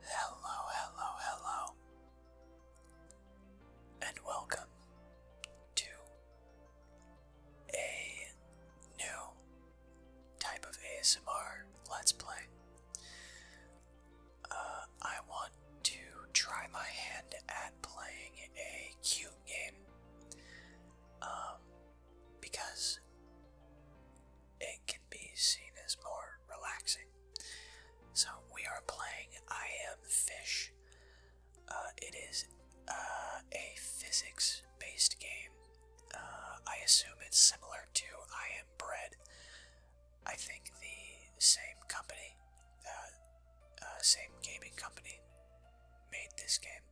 Hello, hello, hello, and welcome to a new type of ASMR Let's Play. Uh, I want to try my hand at playing a cute game. Um, because it can be seen as more relaxing. So we are playing I Am Fish. Uh, it is uh, a physics based game. Uh, I assume it's similar to I Am Bread. I think the same company, uh, same gaming company, made this game.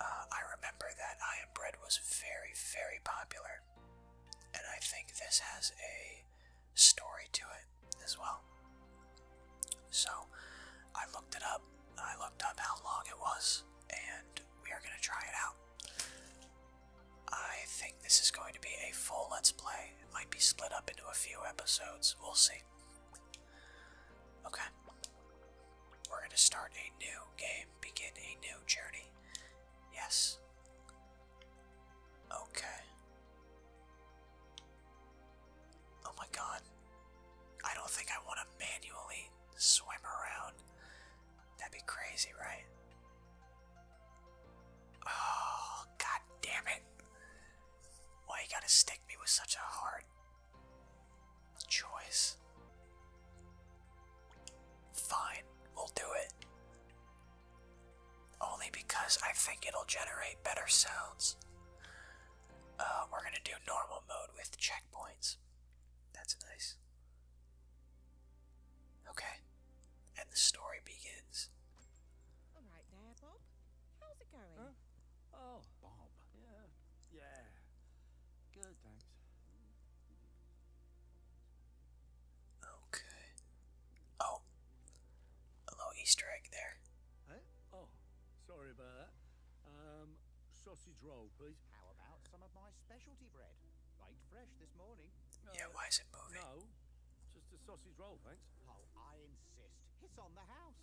Uh, I remember that I Am Bread was very, very popular, and I think this has a story to it as well. So I looked it up, I looked up how long it was, and we are going to try it out. I think this is going to be a full Let's Play. It might be split up into a few episodes, we'll see. Okay. We're going to start a new game, begin a new journey. Yes. Okay. Oh my god. I don't think I want to manually swim around. That'd be crazy, right? Oh, god damn it. Why you gotta stick me with such a hard choice. Fine, we'll do it. Only because I think it'll generate better sounds. Uh, we're gonna do normal mode with checkpoints. That's nice. Okay, and the story begins. All right, there, Bob. How's it going? Oh, Bob. Yeah. Yeah. Good, thanks. Okay. Oh. A little Easter egg there. Oh, sorry about that. Um, sausage roll, please. How about some of my specialty bread? Baked fresh this morning. Yeah, uh, why is it moving? No, just a sausage roll, thanks. Oh, I insist. It's on the house.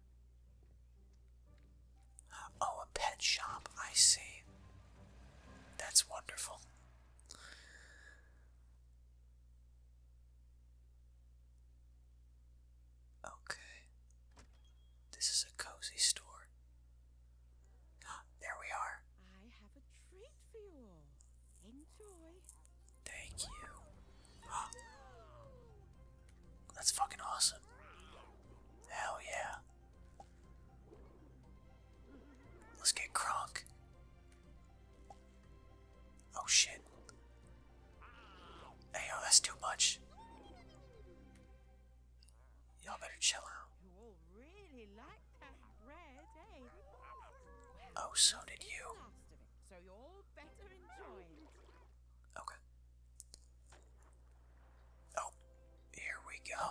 Oh, a pet shop, I see. That's wonderful. Okay. This is a cozy store. Ah, there we are. I have a treat for you all. Enjoy. Thank you. Ah. That's fucking awesome. Hell yeah. Let's get Kronk. Oh shit. Hey yo, that's too much. Y'all better chill out. Oh, so did you. Okay. Oh, here we go.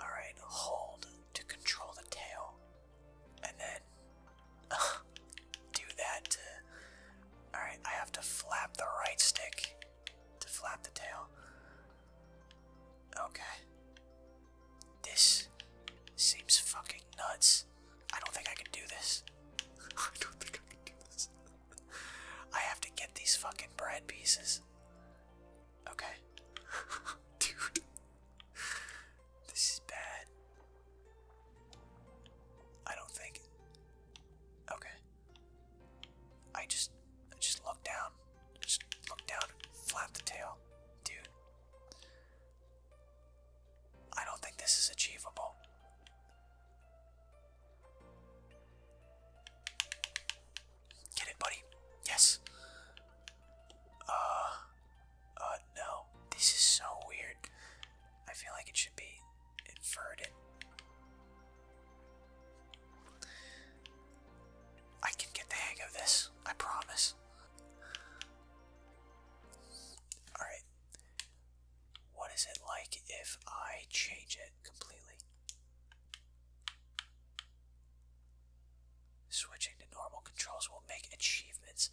Alright, hold to control the tail. And then do that Alright, I have to flap the right stick to flap the tail. Okay. This seems fucking nuts. I don't think I can do this. I don't think I can do this. I have to get these fucking bread pieces. Okay. Dude. This is bad. I don't think. Okay. I just I just look down. just look down flap the tail. Dude. I don't think this is achievable. Get it, buddy. Yes. Uh, uh, no. This is so weird. I feel like it should be inverted. I can get the hang of this. I promise. Alright. What is it like if I change it completely? Switching to normal controls will make achievements.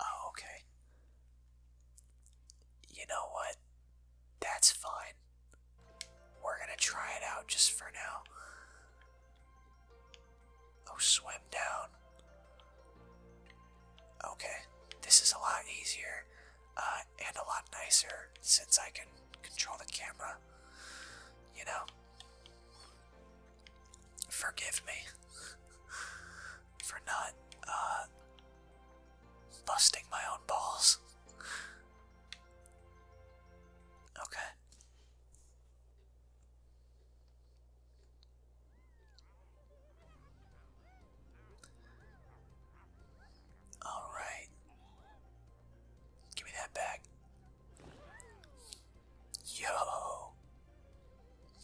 Oh, okay. You know what? That's fine. We're gonna try it out just for now. Oh, swim down. Okay, this is a lot easier. Uh, and a lot nicer since I can control the camera. You know, forgive me for not uh, busting my own balls. Okay. All right. Give me that back. Yo.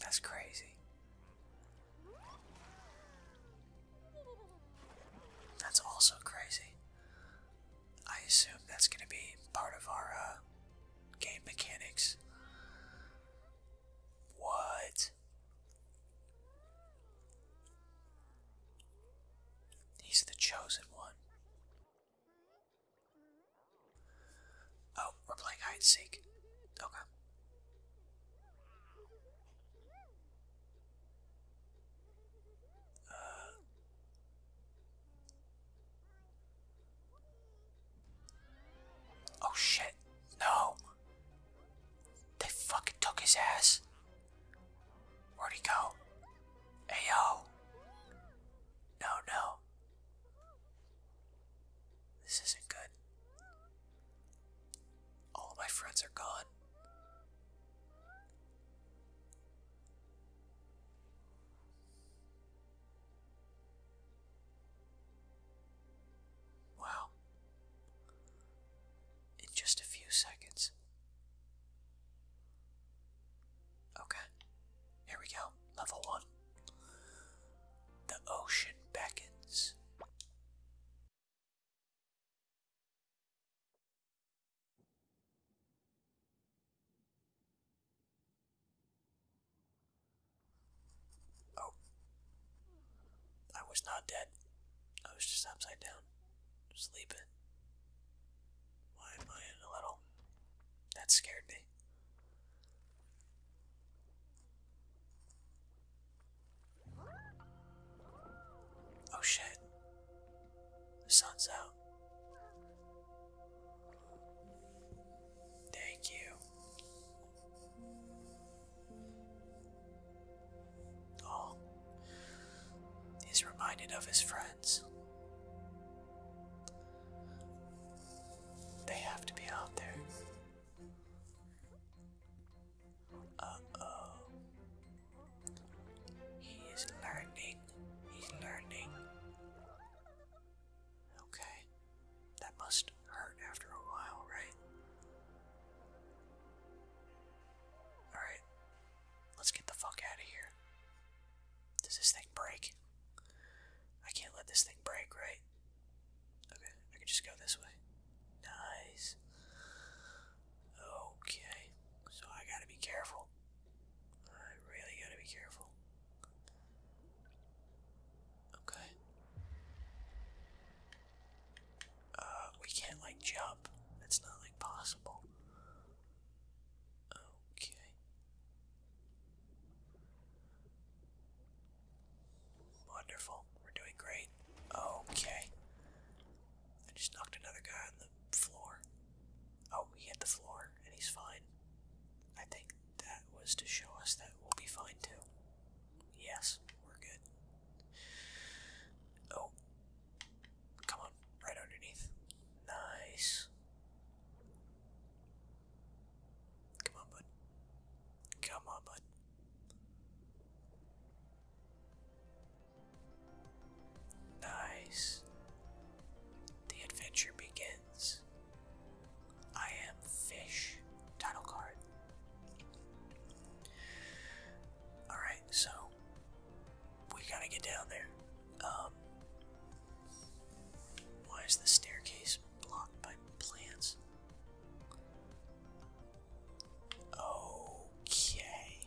That's crazy. That's also crazy. I assume that's going to be part of our uh, game mechanics. What? He's the chosen one. Oh, we're playing hide and seek. Okay. Uh. oh shit! No, they fucking took his ass. Where'd he go? Hey yo. No, no. This isn't good. All my friends are gone. Wow. In just a few seconds. Okay. Here we go. Level one. The ocean beckons. Oh. I was not dead. I was just upside down, sleeping. Why am I in a little? That scared me. Oh shit. The sun's out. Thank you. Oh, he's reminded of his friends. They have to be out there. Uh oh. He is learning. He's learning. Okay. That must hurt after a while, right? Alright. Let's get the fuck out of here. Does this thing break? I can't let this thing break, right? Okay, I can just go this way. Nice. Okay, so I gotta be careful. I really gotta be careful. Okay. Uh, we can't like jump. That's not like possible. Okay. Wonderful. We're doing great. Okay. I just knocked another guy on the floor. Oh, he hit the floor and he's fine. I think that was to show us that we'll be fine too. Yes, we're good. Oh, come on, right underneath. Nice. Come on, bud. Come on, bud. Nice. The adventure begins. I am Fish. Title card. Alright, so we gotta get down there. Um, why is the staircase blocked by plants? Okay.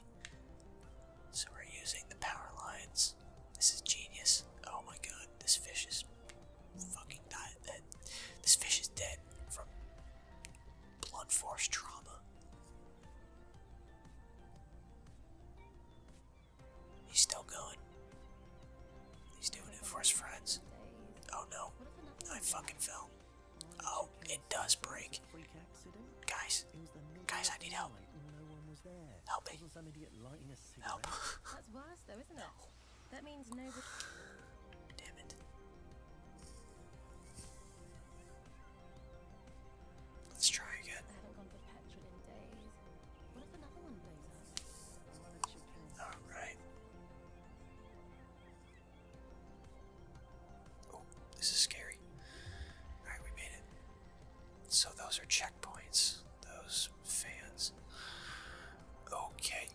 So we're using the power lines. This is genius. Oh my god, this fish is fucking died. This fish is dead from blunt force trauma. He's still going. He's doing it for his friends. Oh no. I fucking fell. Oh, it does break. Guys, guys, I need help. Help me. Help. That's worse though, isn't it? That means nobody. Damn it. Let's try again. Alright. Oh, this is scary. Alright, we made it. So those are checkpoints. Those fans. Okay.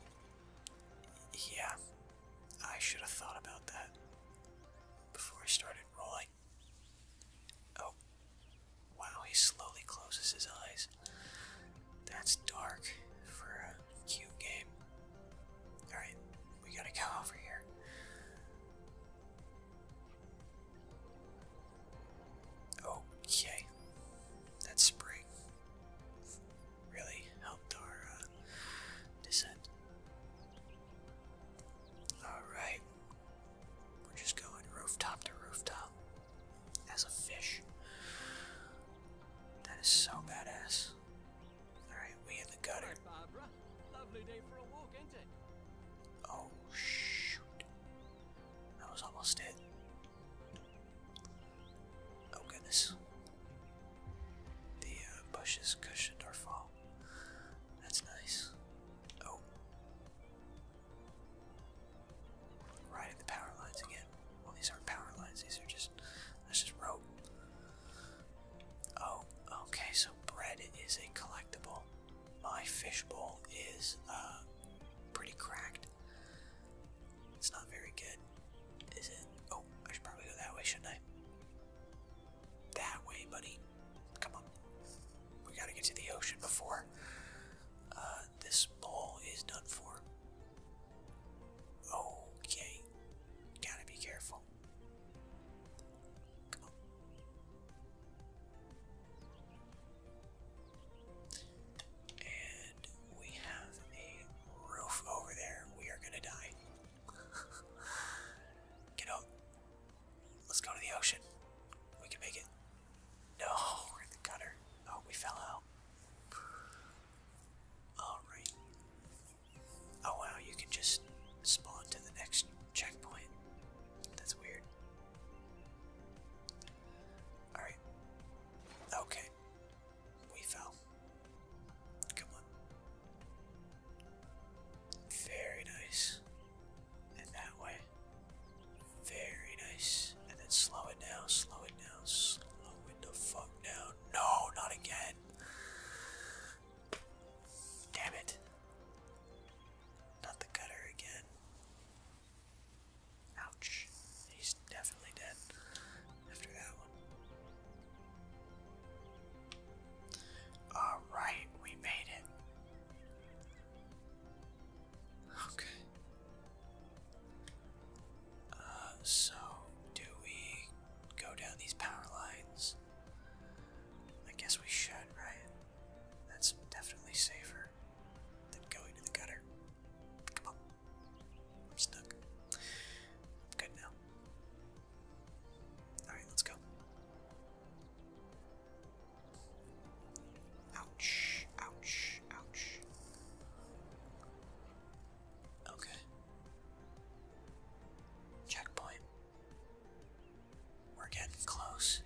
Yeah, I should have thought about that before I started rolling. Oh. Wow, he slowly closes his eyes. That's dark for a cube game. Alright, we gotta go over here. Okay. That's spring really helped our uh, descent. Alright, we're just going rooftop to rooftop as a fish. That is so badass. Alright, we in the gutter. Oh shoot. That was almost it. Oh goodness. The uh, bushes cushioned our fall. That's nice. Oh. Riding the power lines again. Well, these aren't power lines, these are just. That's just rope. Oh, okay, so bread is a collectible. My fishbowl is uh, pretty cracked. It's not very good, is it? Oh, Oh, I should probably go that way, shouldn't I? That way, buddy. Come on. We gotta get to the ocean before uh, this ball is done for. Okay. Gotta be careful. And we have a roof over there. We are gonna die. Get out. Let's go to the ocean. We can make it. No, we're in the gutter. Oh, we fell out. Alright. Oh wow, you can just spawn to the next checkpoint. That's weird. Alright. Okay. We fell. Come on. Very nice. And that way. Very nice. And then slow it down, slow it down, slow it the fuck down. No, not again. Damn it. Not the cutter again. Ouch. He's definitely dead. Alright, we made it. Okay. Uh, so, do we go down these power lines? I guess we should, right? That's definitely safer than going to the gutter. Come on. I'm stuck. good now. Alright, let's go. Ouch, ouch, ouch. Okay. Checkpoint. We're getting close.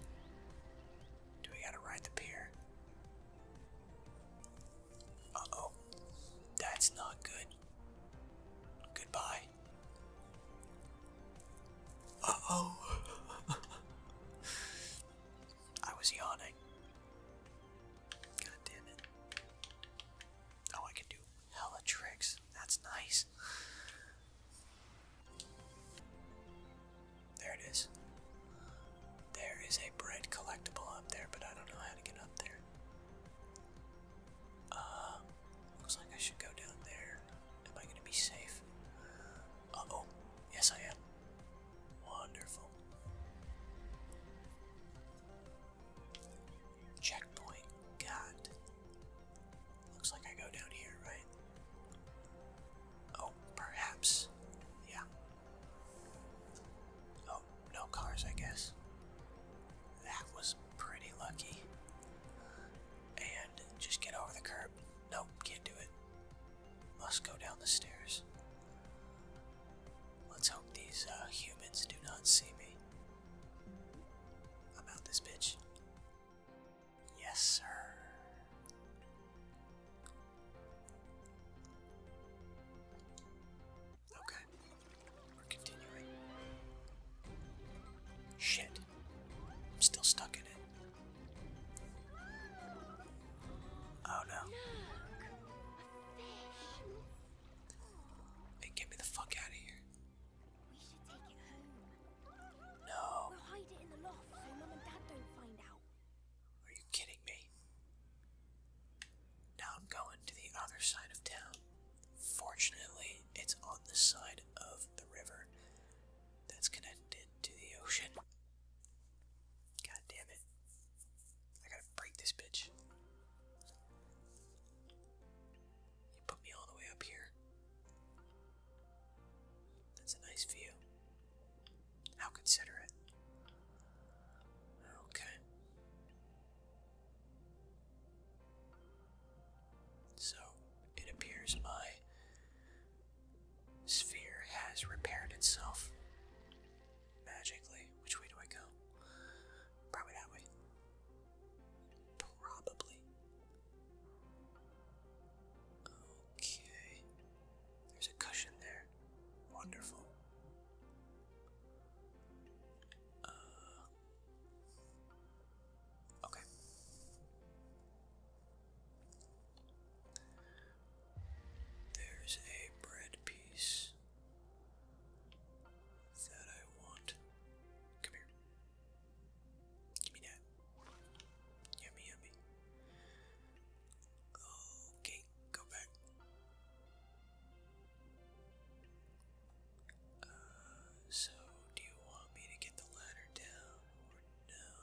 Do we gotta ride the pier? Uh oh. That's not good. Goodbye. Uh oh. I was yawning. God damn it. Oh, I can do hella tricks. That's nice. There it is. There is a bread collectible up there, but I don't know how to get up there. Uh, looks like I should go down there. Am I gonna be safe? Uh, uh oh, yes I am. Wonderful. Checkpoint, God. Looks like I go down here, right? Oh, perhaps. Yeah. Oh, no cars, I guess. That was pretty lucky. And just get over the curb. Nope, can't do it. Must go down the stairs. Let's hope these uh, humans do not see me. I'm out this bitch. Yes, sir. Okay. We're continuing. Shit. I'm still stuck in it. Oh no. Hey, get me the fuck out of here. No. We'll hide it in the loft so mom and dad don't find out. Are you kidding me? Now I'm going to the other side of town. Fortunately, it's on the side of the river that's connected to the ocean. God damn it. I gotta break this bitch. You put me all the way up here. That's a nice view. How considerate. Okay. So it appears my sphere has repaired itself magically. Which way do I go? Probably that way. Probably. Okay. There's a cushion there. Wonderful. Uh, Okay. There's a bread piece that I want. Come here. Give me that. Yummy, yummy. Okay, go back. Uh, so, do you want me to get the ladder down or no?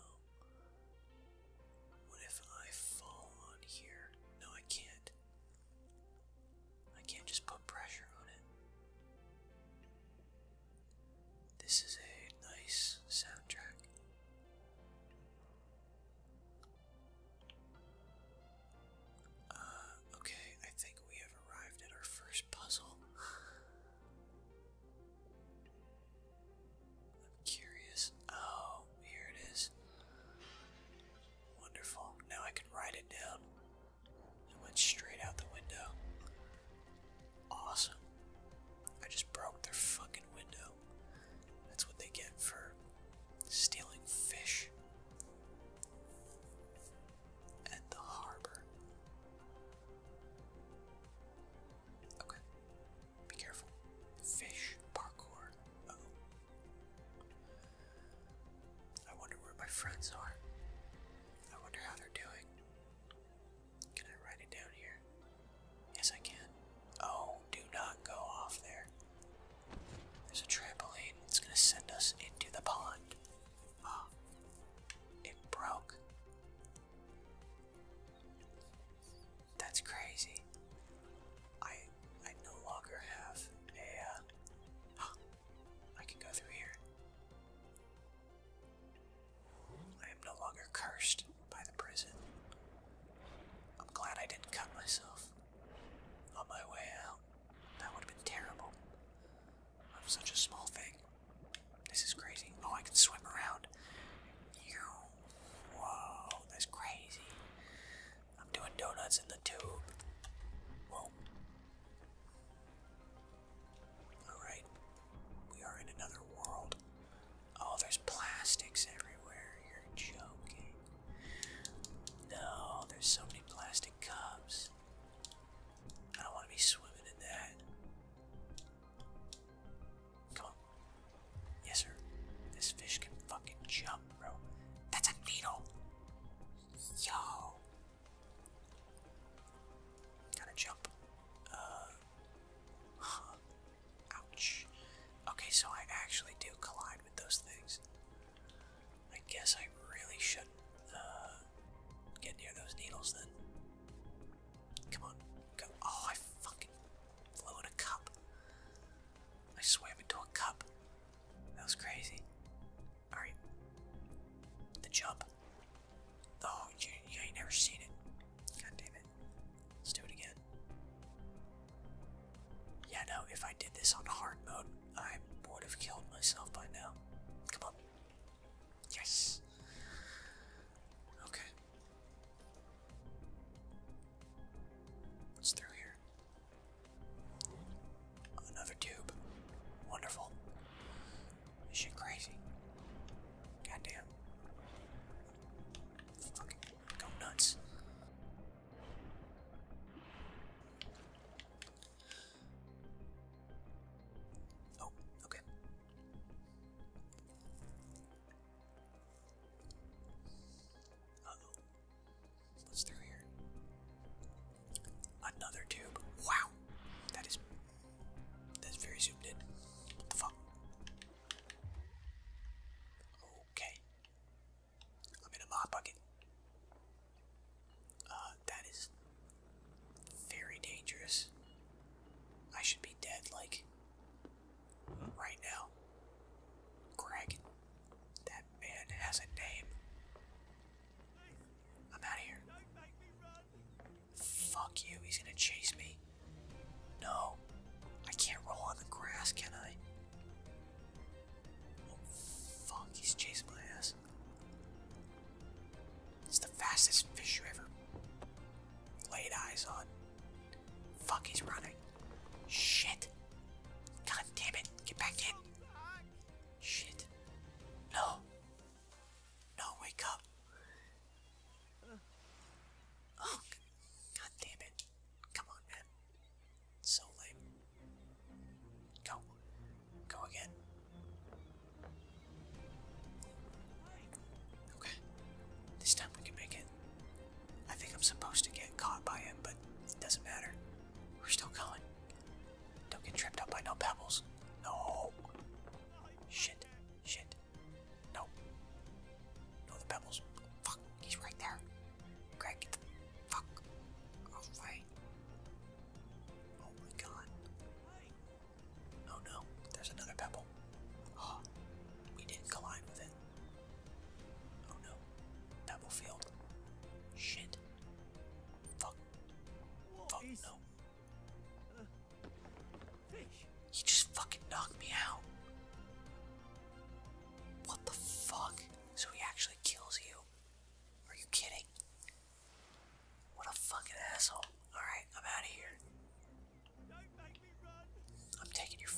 What if I fall on here? No, I can't. I can't just put pressure on it. This is a nice soundtrack. Uh, okay, I think we have arrived at our first puzzle. I'm curious. Oh, here it is. Wonderful. Now I can write it down. It went straight out the window. Awesome. I just broke their fucking window. That's what they get for stealing fish and the harbor. Okay. Be careful. Fish parkour. oh. I wonder where my friends are. I wonder how they're doing. Can I write it down here? Yes, I can. Oh, do not go off there. There's a trampoline. It's going to send us into the pond it broke. That's crazy. I I no longer have a. Uh, can go through here. I am no longer cursed by the prison. I'm glad I didn't cut myself on my way out. That would have been terrible. I'm such a small thing. This is crazy. Oh, I can swim around. You. Whoa, that's crazy. I'm doing donuts in the tube. Whoa. Alright. We are in another world. Oh, there's plastics everywhere. You're joking. No, there's so many plastic cups. I don't want to be swimming in that. Come on. Yes, sir. This fish can fucking jump, bro. That's a needle! Yo! Gotta jump. Uh. Huh. Ouch. Okay, so I actually do collide with those things. I guess I really shouldn't uh, get near those needles then. Come on, go. Oh, I fucking blew in a cup. I swam into a cup. That was crazy. Alright. The jump. Oh, you ain't never seen it. God damn it. Let's do it again. Yeah, no, if I did this on hard mode, I would have killed myself by now. Come on. Yes. Okay. What's through here? Another tube. Wonderful. This shit crazy. Goddamn. Fucking go nuts. Oh, okay. What's through here? Another tube. Wow! That is. That's very zoomed in. What the fuck? Okay. I'm in a mop bucket. Uh, that is very dangerous. I should be dead, like, right now. Greg, that man has a name. I'm out of here. Fuck you, he's gonna chase me. No, I can't roll on the grass, can I? fuck, he's chasing my ass. It's the fastest fish you ever laid eyes on. Fuck, he's running. Shit. God damn it. Get back in. Shit. No. No, wake up. Oh, god damn it. Come on, man. So lame. Go. Go again. Okay. This time we can make it. I think I'm supposed to get caught by him, but it doesn't matter. We're still going. Don't get tripped up by no pebbles. No. Shit. Shit. No. No, the pebbles. Fuck. He's right there. Greg, get fuck off my Oh my god. Oh no, there's another pebble. Ah, we didn't collide with it. Oh no. Pebble field. Shit. Fuck. Fuck no. He just fucking knocked me out. What the fuck? So he actually kills you? Are you kidding? What a fucking asshole. Alright, I'm out of here. I'm taking your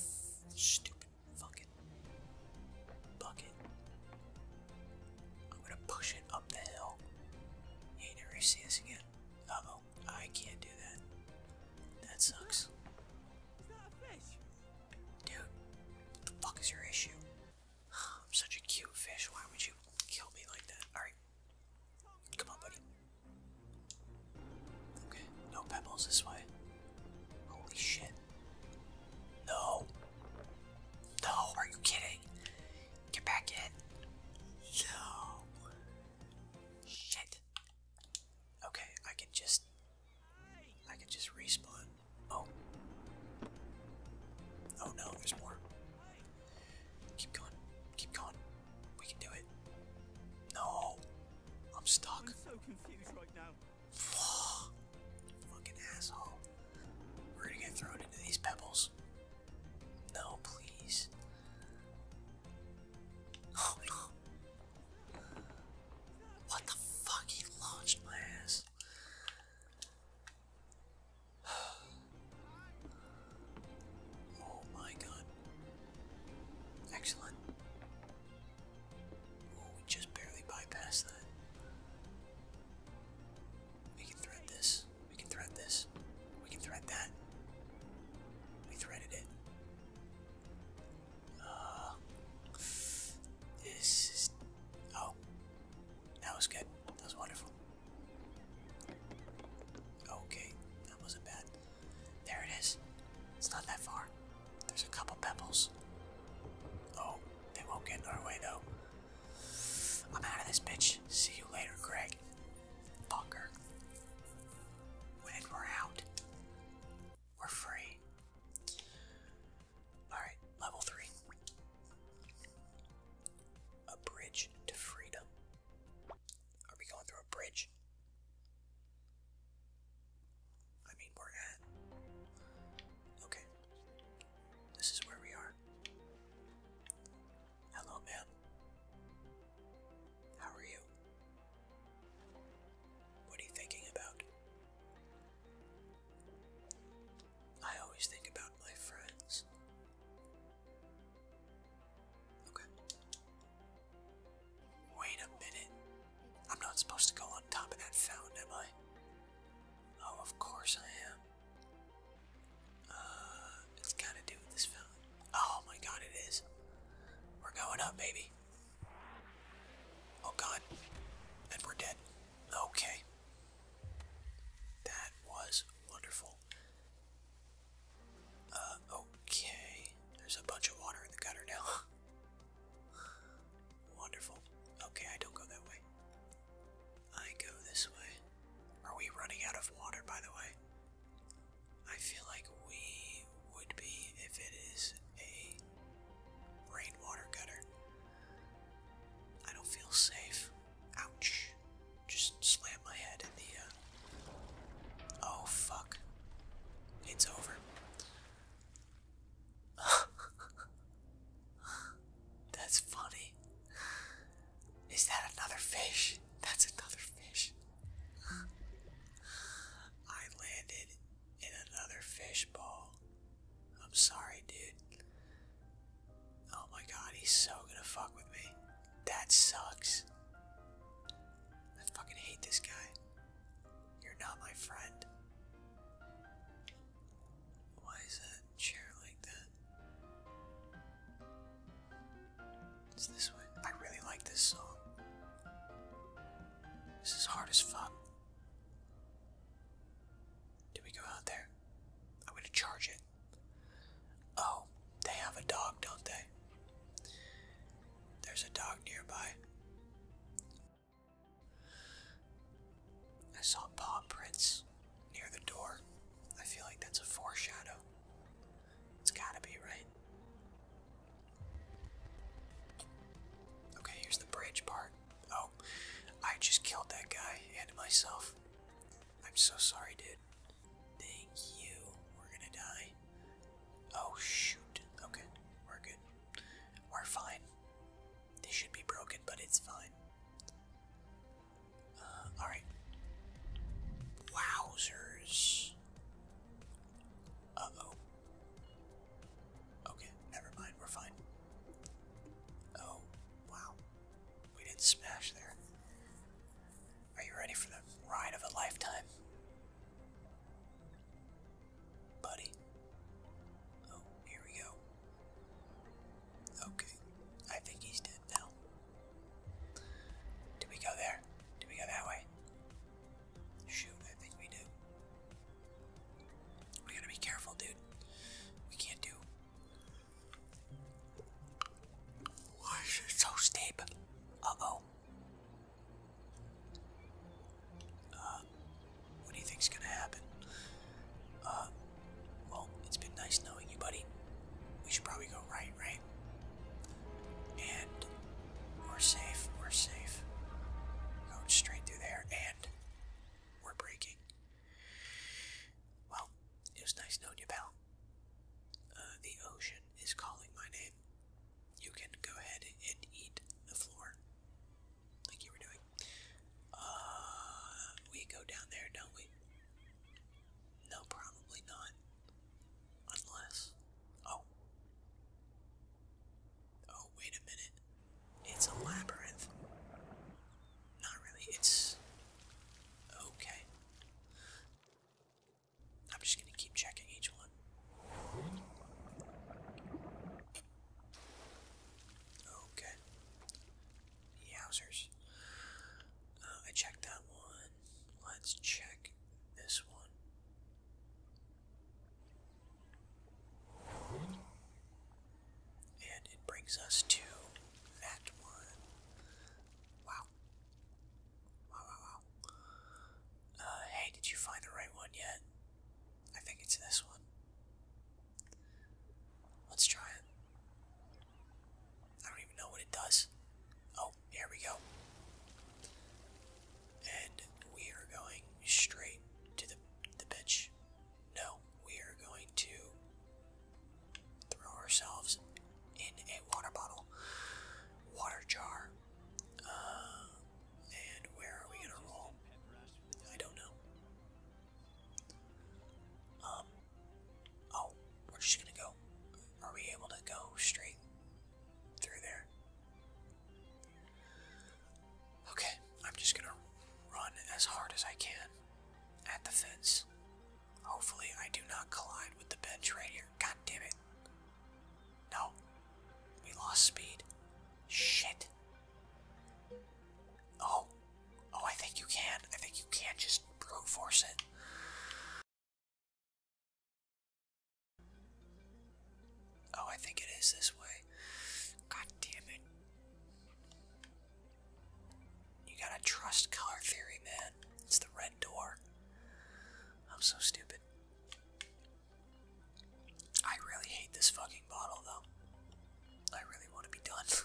stupid fucking bucket. I'm gonna push it up the hill. You never see this again. Uh I can't do that. That sucks. Dude, what the fuck is your issue? I'm such a cute fish. Why would you kill me like that? Alright. Come on, buddy. Okay, no pebbles this way. Holy shit. No. No, are you kidding? Get back in. No. Shit. Okay, I can just. I can just respawn. Oh. Oh no, there's more. Keep going. Keep going. We can do it. No. I'm stuck. i Fucking asshole. We're gonna get thrown into these pebbles. No, please. What the fuck? He launched my ass. oh my god. Excellent. Oh, we just barely bypassed that. We can thread this. We can thread this. We can thread that. We threaded it. Uh, this is. Oh. That was good. That was wonderful. Okay, that wasn't bad. There it is. It's not that far. There's a couple pebbles. Oh, they won't get in our way though. I'm out of this bitch. See you later, Greg. Fucker. we're out, we're free. Alright, level 3. A bridge to freedom. Are we going through a bridge? I mean, we're at. Okay. This is where we are. Hello, man. How are you? What are you thinking about? I always think about my friends Okay. Wait a minute. I'm not supposed to go on top of that fountain, am I? Oh, of course I am. Uh, it's got to do this fountain. Oh my god, it is. We're going up, baby. Oh god. And we're dead. Okay. That was wonderful. Uh, okay. There's a bunch of water in the gutter now. wonderful. Okay, I don't go that way. I go this way. Are we running out of water, by the way? I feel like we would be if it is a rainwater gutter. I don't feel safe. Ouch. Just slam my head in the, uh... Oh, fuck. It's over. That's funny. Is that another fish? That's another fish. I landed in another fish ball. I'm sorry, dude. Oh my god, he's so gonna fuck with me. That sucks. I fucking hate this guy. You're not my friend. Why is that chair like that? this way. I really like this song. This is hard as fuck. Do we go out there? I'm gonna charge it. Oh, they have a dog, don't they? There's a dog nearby. I saw paw prints near the door. I feel like that's a foreshadow. It's gotta be, right? Okay, here's the bridge part. Oh, I just killed that guy and myself. I'm so sorry, dude. Thank you. We're gonna die. Oh, shoot. Okay, we're good. We're fine. This should be broken, but it's fine. Uh, Alright. Wowzers. Uh oh. Okay, never mind. We're fine. Oh, wow. We did not smash there. Are you ready for the ride of a lifetime? Buddy. Oh, here we go. Okay, I think he's dead now. Did we go there? Did we go that way? Shoot, I think we do. We gotta be careful, dude. We can't do why is it so steep? oh what do you think's gonna happen? Uh, well, it's been nice knowing you, buddy. We should probably go right, right? And we're safe, we're safe. Going straight through there, and we're breaking. Well, it was nice knowing you, pal. Uh, the ocean is calling my name. You can go ahead and eat the floor, like you were doing. Uh, we go down there, don't we? No, probably not. Unless. Oh. Oh, wait a minute. It's a labyrinth. Not really, it's. Okay. I'm just gonna keep checking each one. Okay. Yowzers. Uh, I checked that one. Let's check this one. And it brings us to that one. Wow. Wow, wow, uh, hey, did you find the right one yet? I think it's this one. Let's try it. I don't even know what it does. Oh, here we go. And we are going straight to the the bench. No we are going to throw ourselves in a water bottle, water jar. Uh, and where are we gonna roll? I don't know. Um, oh, we're just gonna go. Are we able to go straight through there? Okay, I'm just gonna run as hard as I can at the fence Hopefully, I do not collide with the bench right here. God damn it. No. We lost speed. Shit. Oh. Oh, I think you can. I think you can just brute force it. Oh, I think it is this way. God damn it. You gotta trust color theory, man. It's the red door. I'm so stupid. I really hate this fucking bottle, though. I really want to be done.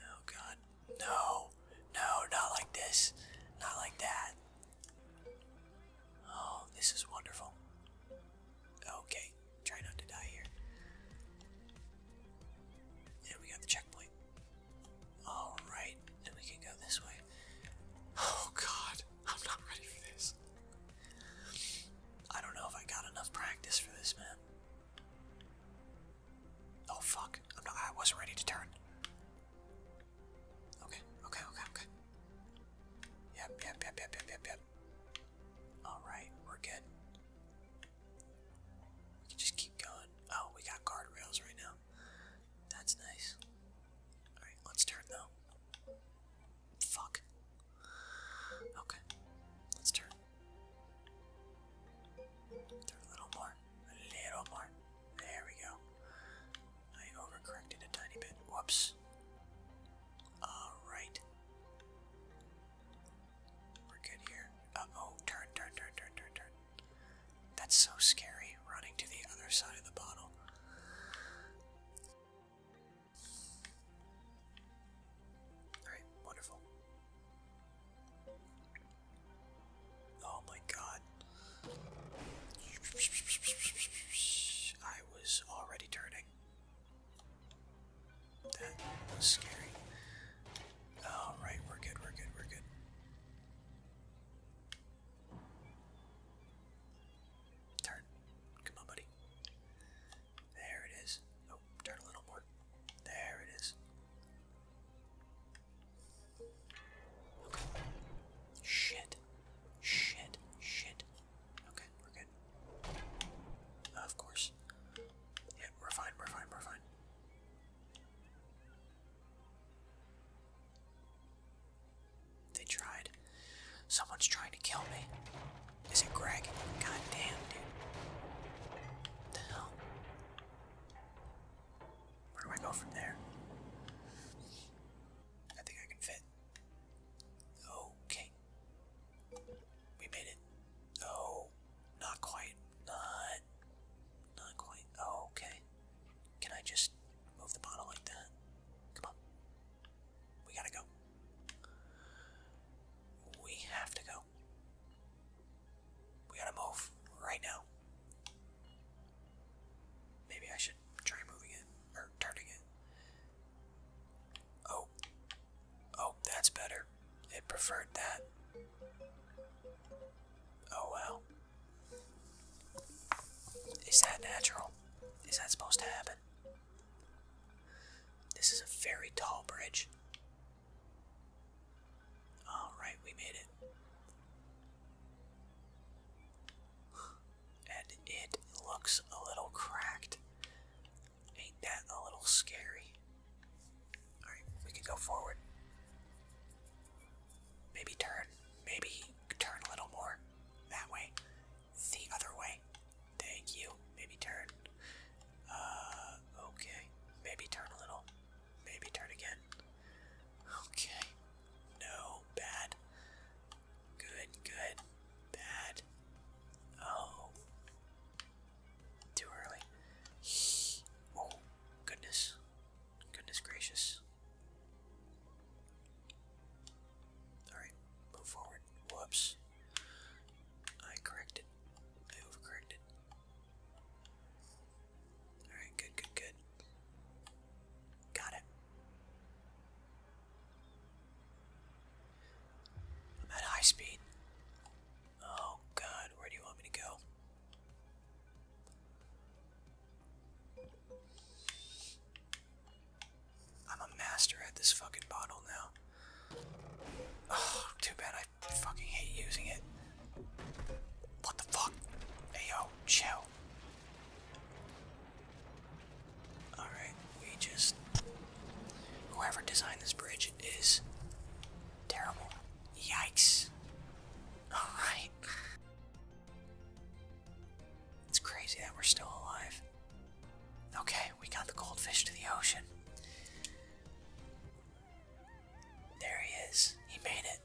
oh god. No. No, not like this. Not like that. Oh, this is wonderful. Okay, try not to die here. And we got the checkpoint. Alright, and we can go this way. Oh god, I'm not ready for this. I don't know if I got enough practice for this, man. Oh fuck, I'm not, wasn't ready to turn. Okay, okay, okay, okay. yep, yep, yep, yep, yep, yep. Alright, we're good. We can just keep going. Oh, we got guardrails right now. That's nice. Alright, let's turn though. Fuck. Okay. Let's turn. Turn a little more. A little more. There we go. I overcorrected a tiny bit. Whoops. Alright. We're good here. oh, turn, turn, turn, turn, turn, turn. That's so scary, running to the other side of the bottle. Alright, wonderful. Oh my god. I was already turning. That was scary. All right, we're good, we're good, we're good. Turn. Come on, buddy. There it is. Oh, turn a little more. There it is. Okay. Shit. Shit. Shit. Okay, we're good. Of course. Yeah, we're fine, we're fine, we're fine. They tried. Someone's trying to kill me. Is it Greg? God dude. the hell? Where do I go from there? I think I can fit. Okay. We made it. Oh, not quite. Not, not quite. Oh, okay. Can I just move the bottle like that? Come on. We gotta go. We have to go. We gotta move right now. Maybe I should try moving it or turning it. Oh, Oh, that's better. It preferred that. Oh wow. Is that natural? Is that supposed to happen? This is a very tall bridge. Alright, we made it. And it looks a little cracked. Ain't that a little scary? Alright, we can go forward. Maybe turn. Maybe turn a little more. That way. The other way. Thank you. Maybe turn. Uh, okay. Maybe turn a little. Maybe turn again. Okay. No. Bad. Good, good. Bad. Oh. Too early. Oh, goodness. Goodness gracious. Alright, move forward. Whoops. I corrected. I overcorrected. Alright, good, good, good. Got it. I'm at high speed. Oh god, where do you want me to go? I'm a master at this fucking bottle now. Oh, too bad I fucking hate using it. What the fuck? Hey yo, chill. Alright, we just. Whoever designed this bridge damage terrible. Yikes. Alright. It's crazy that we're still alive. Okay, we got the goldfish to the ocean. There he is. He made it.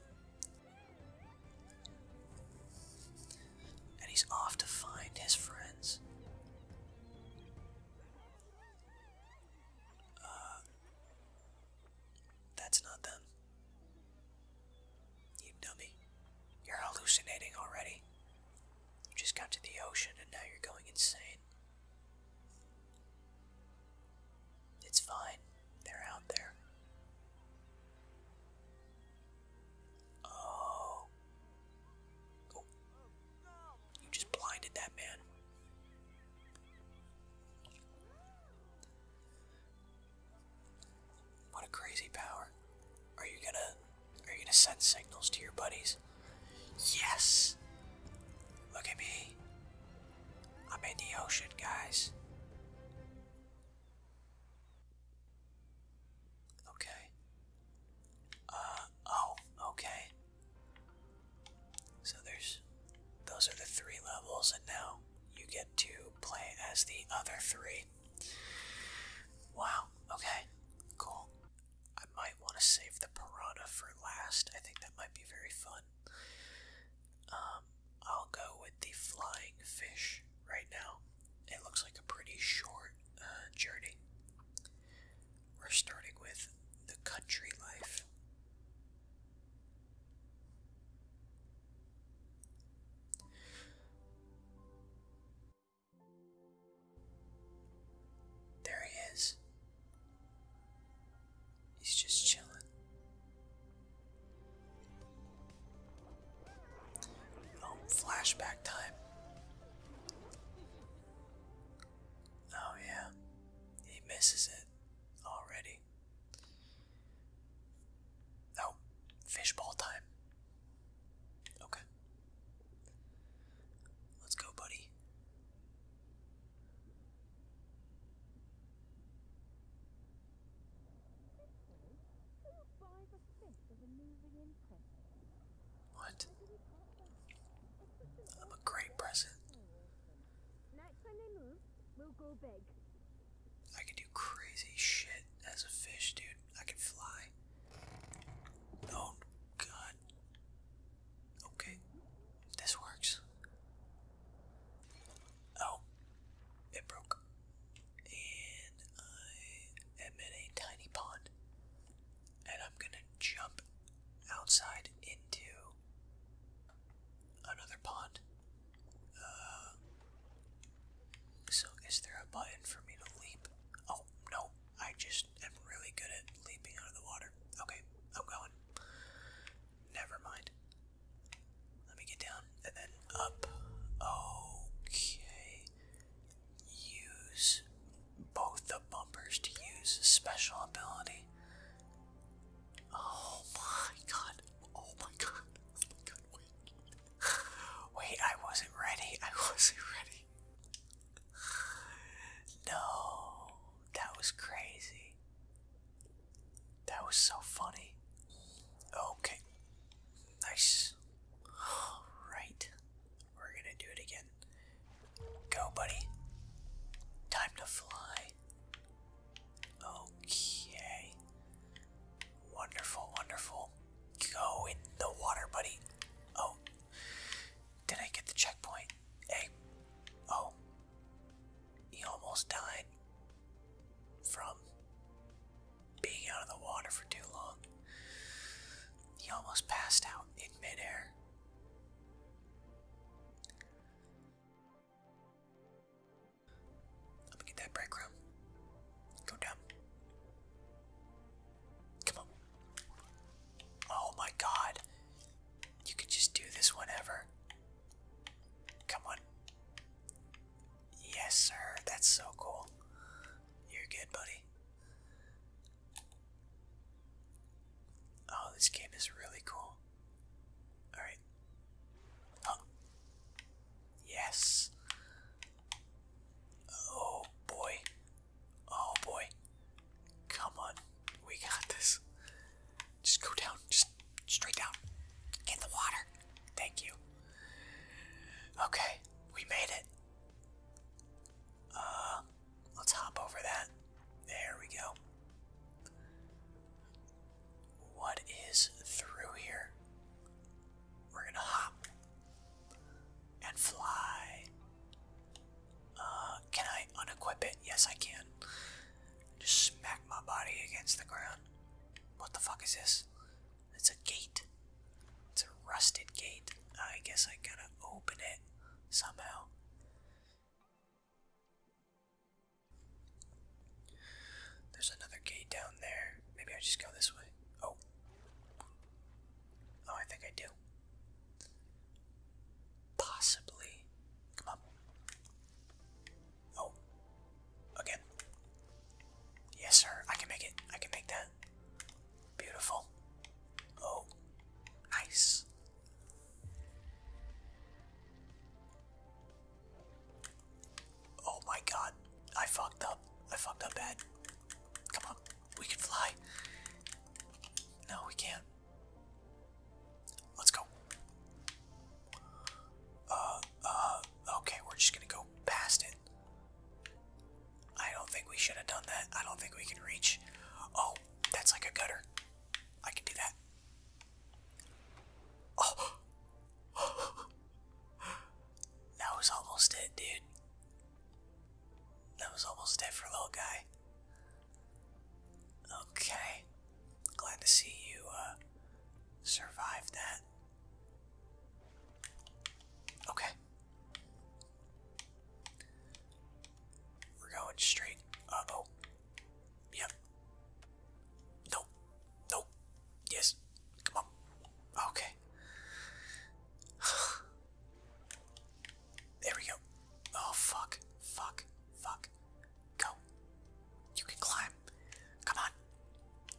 And he's off to find his friends. Uh, that's not them. You dummy. You're hallucinating already. You just got to the ocean and now you're going insane. It's fine. They're out there. Oh. oh. You just blinded that man. What a crazy power. Are you gonna are you gonna send signals to your buddies? Yes! Look at me. I'm in the ocean, guys. Okay. Uh, oh, okay. So there's those are the three levels, and now you get to play as the other three. Wow, okay, cool. I might want to save the piranha for last. I think that might be very fun. Um, I'll go with the flying fish right now. It looks like a pretty short uh, journey. We're starting with the country life. There he is. He's just chilling. Oh, flashback time. Oh, yeah. He misses it already. Oh, fishball time. Okay. Let's go, buddy. What? a great present. I can do crazy shit as a fish, dude. I can fly. Oh, God. Okay. This works. Oh. It broke. And I am in a tiny pond. And I'm gonna jump outside into another pond. Uh, so, is there a button for me to leap? Oh, no. I just am really good at leaping out of the water. Okay, I'm going. Never mind. Let me get down and then up. Okay. Use both the bumpers to use special ability. Oh my god. Oh my god. Oh my god. Wait. Wait, I wasn't ready. I wasn't ready. No. That was crazy. That was so funny. Okay. Nice. Alright. We're gonna do it again. Go, buddy. Time to fly. Okay. Wonderful, wonderful. Go in the water, buddy. Oh. Did I get the checkpoint? Hey. Oh. He almost died from being out of the water for too long. He almost passed out in midair. Let me get that breadcrumb. Go down. Come on. Oh my god. You could just do this whenever. Come on. Yes, sir. That's so cool. You're good, buddy. Oh, this game is really cool. Alright. Oh. Yes. Oh boy. Oh boy. Come on. We got this. Just go down. Just straight down. In the water. Thank you. Okay. We made it. Uh, let's hop over that. There we go. What is through here? We're gonna hop and fly. Uh, can I unequip it? Yes, I can. Just smack my body against the ground. What the fuck is this? It's a gate. It's a rusted gate. I guess I gotta open it somehow. There's another gate down there. Maybe I just go this way. Oh. Oh, I think I do. Possibly. Come on. Oh. Again. Yes, sir. I can make it. I can make that. Beautiful. Oh. Nice. Oh my god, I fucked up. I fucked up bad. Come on, we can fly. No, we can't. Let's go. Uh, uh, okay, we're just gonna go past it. I don't think we should have done that. I don't think we can reach. Oh, that's like a gutter. I can do that. that was almost it, dude. That was almost it for a little guy. Okay. Glad to see you uh, survive that. Okay. We're going straight. up. Yep. Nope. Nope. Yes. Come on. Okay. there we go. Oh, fuck. Fuck. Fuck. Go. You can climb. Come on.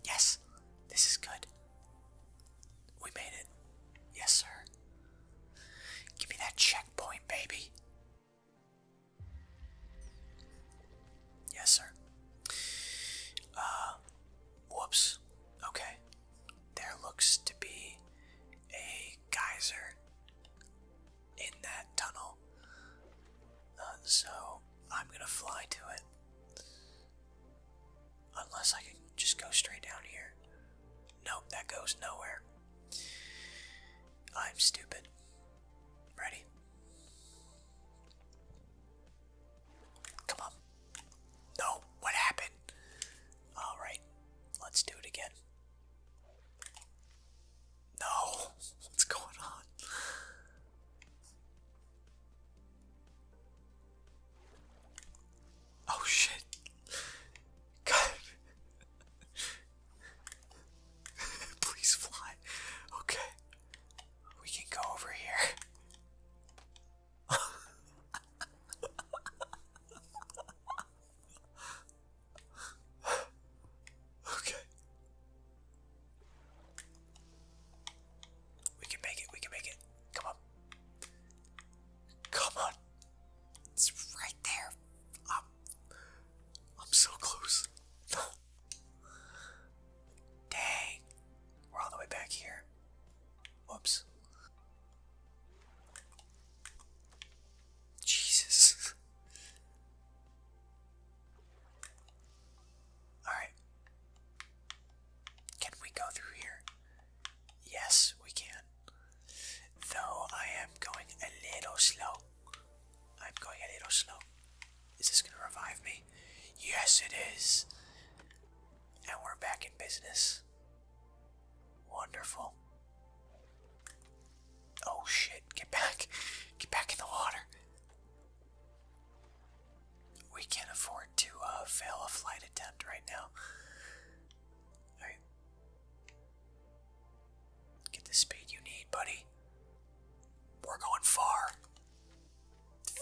Yes. This is good. We made it. Yes, sir. Give me that checkpoint, baby. Yes, sir. Uh, whoops. Okay. There looks to be a geyser in that tunnel. Uh, so I'm gonna fly to it. Unless I can just go straight down here. Nope, that goes nowhere. I'm stupid. Ready? Come on. No, what happened? Alright, let's do it again. No, what's going on? Oh shit. God. Please fly. Okay. We can go over here. okay. We can make it. We can make it. Come on. Come on. It's right there. I'm so close. Dang. We're all the way back here. Whoops. Jesus. Alright. Can we go through here? Yes, we can. Though I am going a little slow. I'm going a little slow. Is this gonna revive me? Yes, it is. And we're back in business. Wonderful. Oh shit, get back. Get back in the water. We can't afford to uh, fail a flight attempt right now. Alright. Get the speed you need, buddy. We're going far.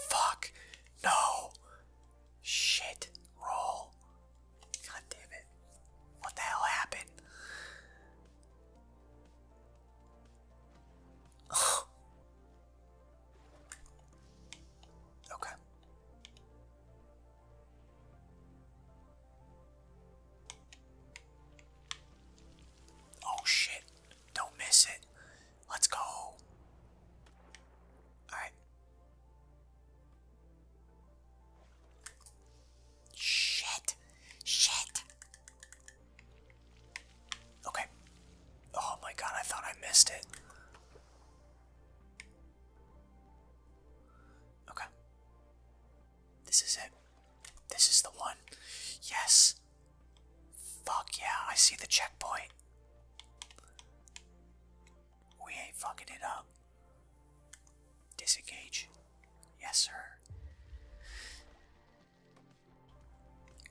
Fuck. No. Shit. Roll. God damn it. What the hell happened? okay. Oh shit. Don't miss it. Let's go. Alright. Shit. Shit. Okay. Oh my god, I thought I missed it. Okay. This is it. This is the one. Yes. Fuck yeah, I see the checkpoint. We ain't fucking it up. Disengage. Yes, sir.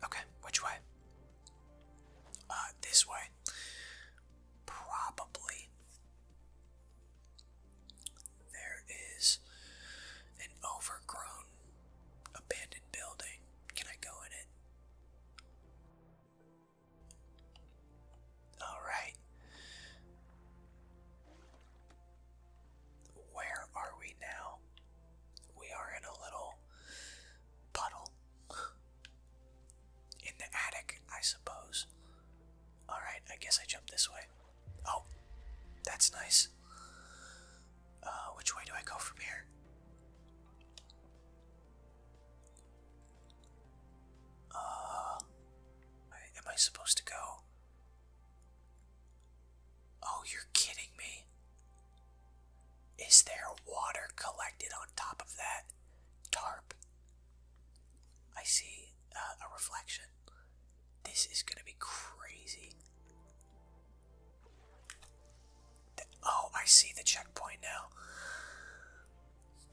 Okay, which way? Uh, this way. Probably. There is an overgrown abandoned building. Can I go in it? Alright. Where are we now? We are in a little puddle. In the attic, I suppose. Alright, I guess I jump this way. Oh, that's nice. Uh, which way do I go from here? Uh, am I supposed to go? Oh, you're kidding me. Is there water collected on top of that tarp? I see uh, a reflection. This is gonna be crazy. oh, I see the checkpoint now.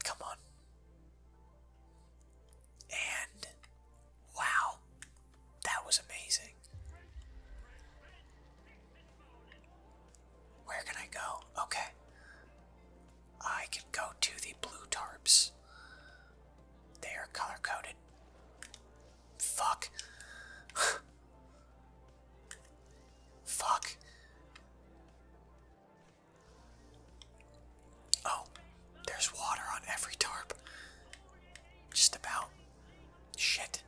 Come on. And wow, that was amazing. Where can I go? Okay. I can go to the blue tarps. They are color coded. Fuck. Fuck. Oh, there's water on every tarp. Just about. Shit.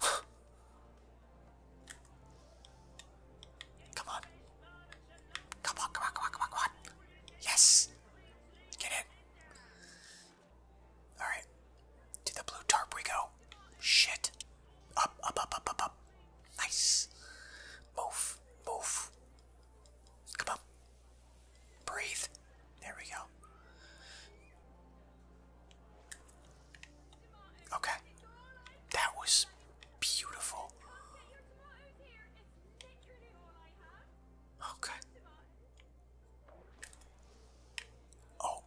Come on. Come on, come on, come on, come on, Yes. Get in. Alright. To the blue tarp we go. Shit. Up, up, up, up, up, up. Nice. Move, move. Come up. Breathe. There we go. Okay. That was beautiful. Okay. Oh,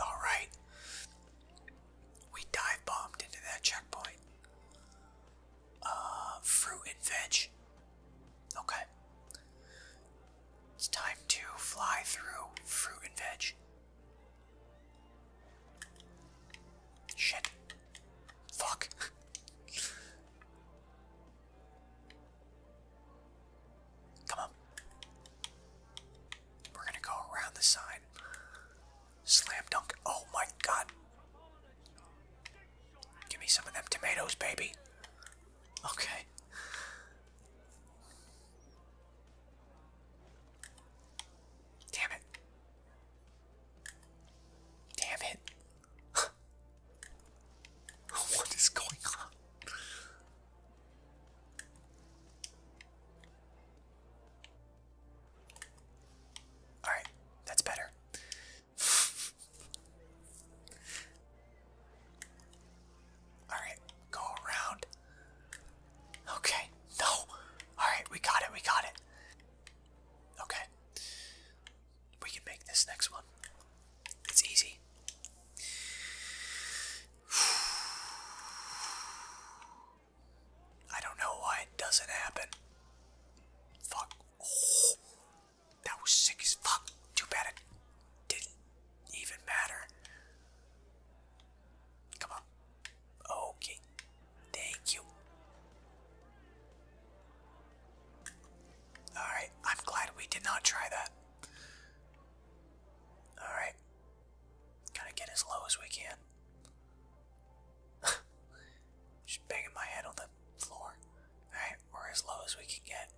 all right. We dive bombed into that checkpoint. Uh, fruit and veg. Okay. It's time to fly through fruit and veg. Shit. Fuck. Come on. We're gonna go around the side. Slam dunk. Oh my god. Give me some of them tomatoes, baby. Okay. Damn it. Damn it. what is going on? Alright, that's better. Alright, go around. Okay, no. Alright, we got it, we got it. Okay. We can make this next one. It's easy. I don't know why it doesn't happen. Fuck. that was sick as fuck. Too bad it didn't even matter. Come on. Okay. Thank you. Alright, I'm glad we did not try that. Alright. Gotta get as low as we can. Just banging my head on the floor. Alright, we're as low as we can get.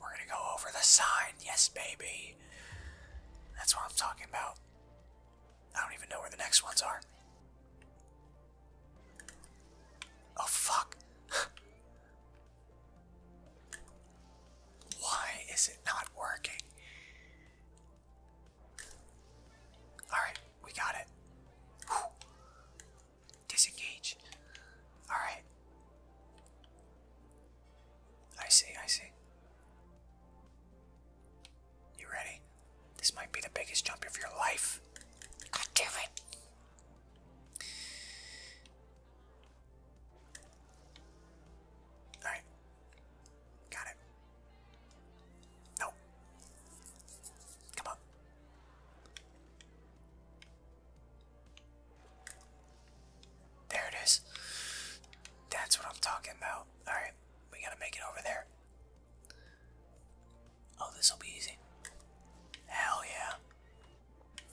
We're gonna go over the sign. Yes, baby. That's what I'm talking about. I don't even know where the next ones are. Oh fuck. Why is it not working? Alright, we got it. Disengage. Alright. I see, I see. You ready? This might be the biggest jump of your life. God damn it. Alright. Got it. No. Come on. There it is. That's what I'm talking about. Alright, we gotta make it over there. Oh, this will be easy. Hell yeah.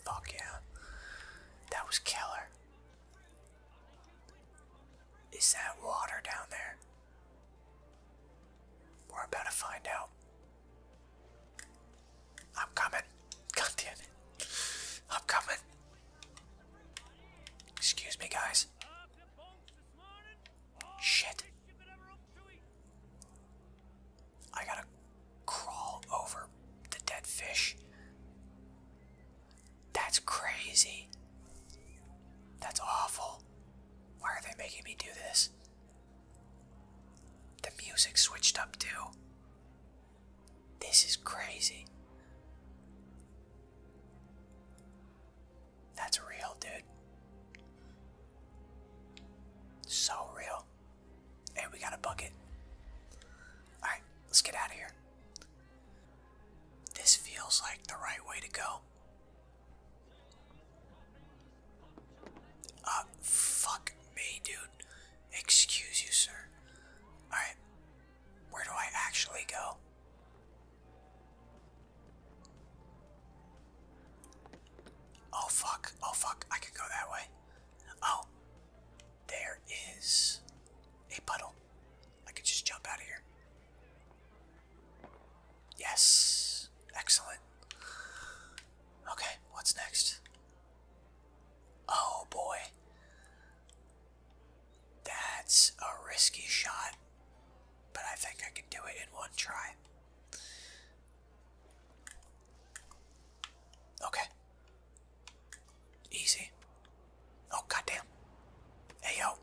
Fuck yeah. That was killer. Is that water down there? We're about to find out. I'm coming. God I'm coming. Excuse me, guys. Shit. I gotta crawl over the dead fish. That's crazy. That's awful. Why are they making me do this? The music switched up too. This is crazy. That's real, dude. So real. Hey, we got a bucket. Alright, let's get out of here. This feels like the right way to go. Uh, fuck me, dude. Excuse you, sir. Alright, where do I actually go? Oh fuck, oh fuck, I can go that way. Oh, there is a puddle. I could just jump out of here. Yes, excellent. Okay, what's next? Oh boy. That's a risky shot, but I think I can do it in one try. Okay. Easy. Oh, goddamn. Hey, yo.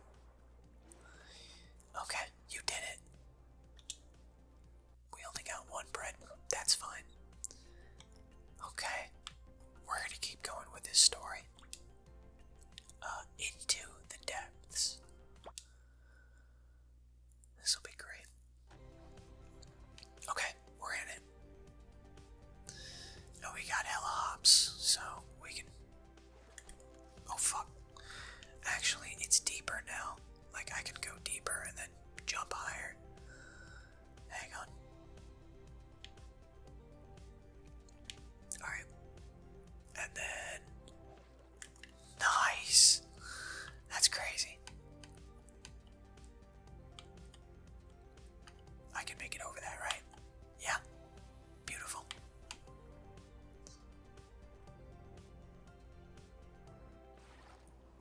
Okay, you did it. We only got one bread. That's fine. Okay. We're gonna keep going with this story. Uh, into the depths. This will be great. Okay, we're in it. No, we got hella hops, so we can. Oh fuck! Actually, it's deeper now. Like I can go deeper and then jump higher. Hang on. All right, and then Nice. That's crazy. I can make it over that, right? Yeah. Beautiful.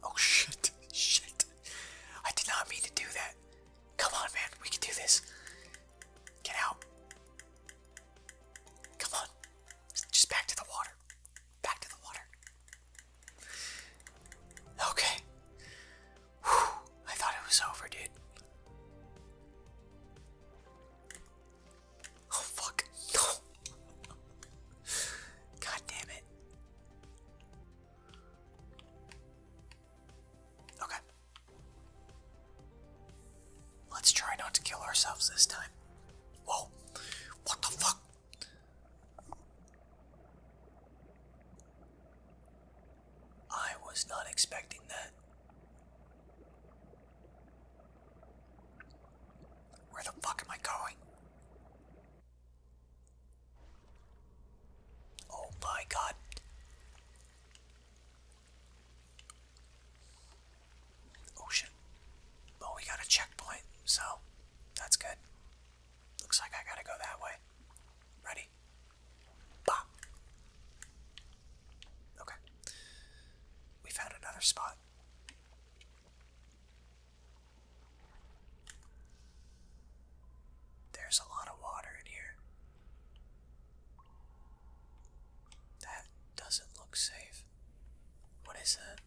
Oh shit. Shit. I did not mean to do that. Come on, man. We can do this. Get out. Come on. Just back to the water. Back to the water. Okay. I thought it was over, dude. Oh, fuck. God damn it. Okay. Let's try not to kill ourselves this time. Whoa! What the fuck? I was not expecting that. Where the fuck am I going? Oh my god. Oh shit. we got a checkpoint, so that's good. Looks like I gotta go that way. Ready? Bop. Okay. We found another spot. There's a lot of water in here. That doesn't look safe. What is that?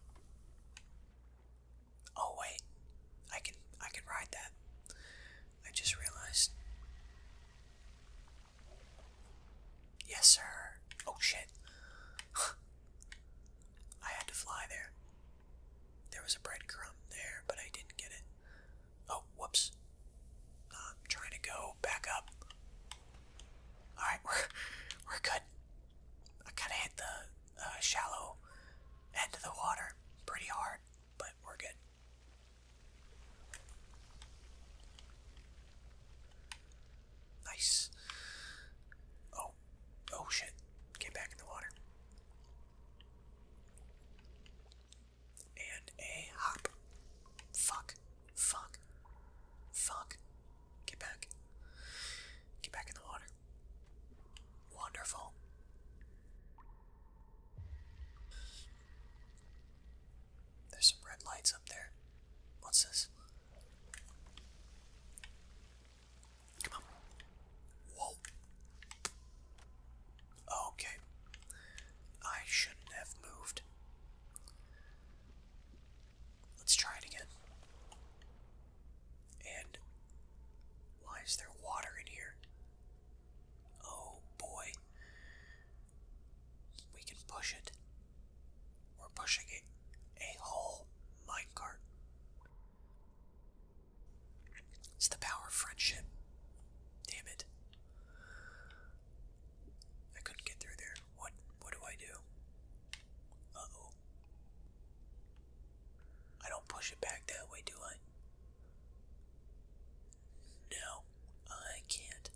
Oh wait, I can I can ride that. I just realized. Yes, sir. Oh shit. I had to fly there. There was a breadcrumb there, but I didn't get it. Oh, whoops. I'm trying to go back up. Alright, we're, we're good. I kind of hit the uh, shallow end of the water pretty hard, but we're good. Nice. Oh, oh shit. Get back in the water. And a hop. Fuck. Fuck. Fuck. Get back. Get back in the water. Wonderful. There's some red lights up there. What's this? Come on. Whoa. Okay. I shouldn't have moved. Let's try it again. And why is there water in here? Oh boy. We can push it. We're pushing it a whole minecart. It's the power of friendship. Damn it. I couldn't get through there. What what do I do? Uh-oh. I don't push it back that way, do I? No, I can't.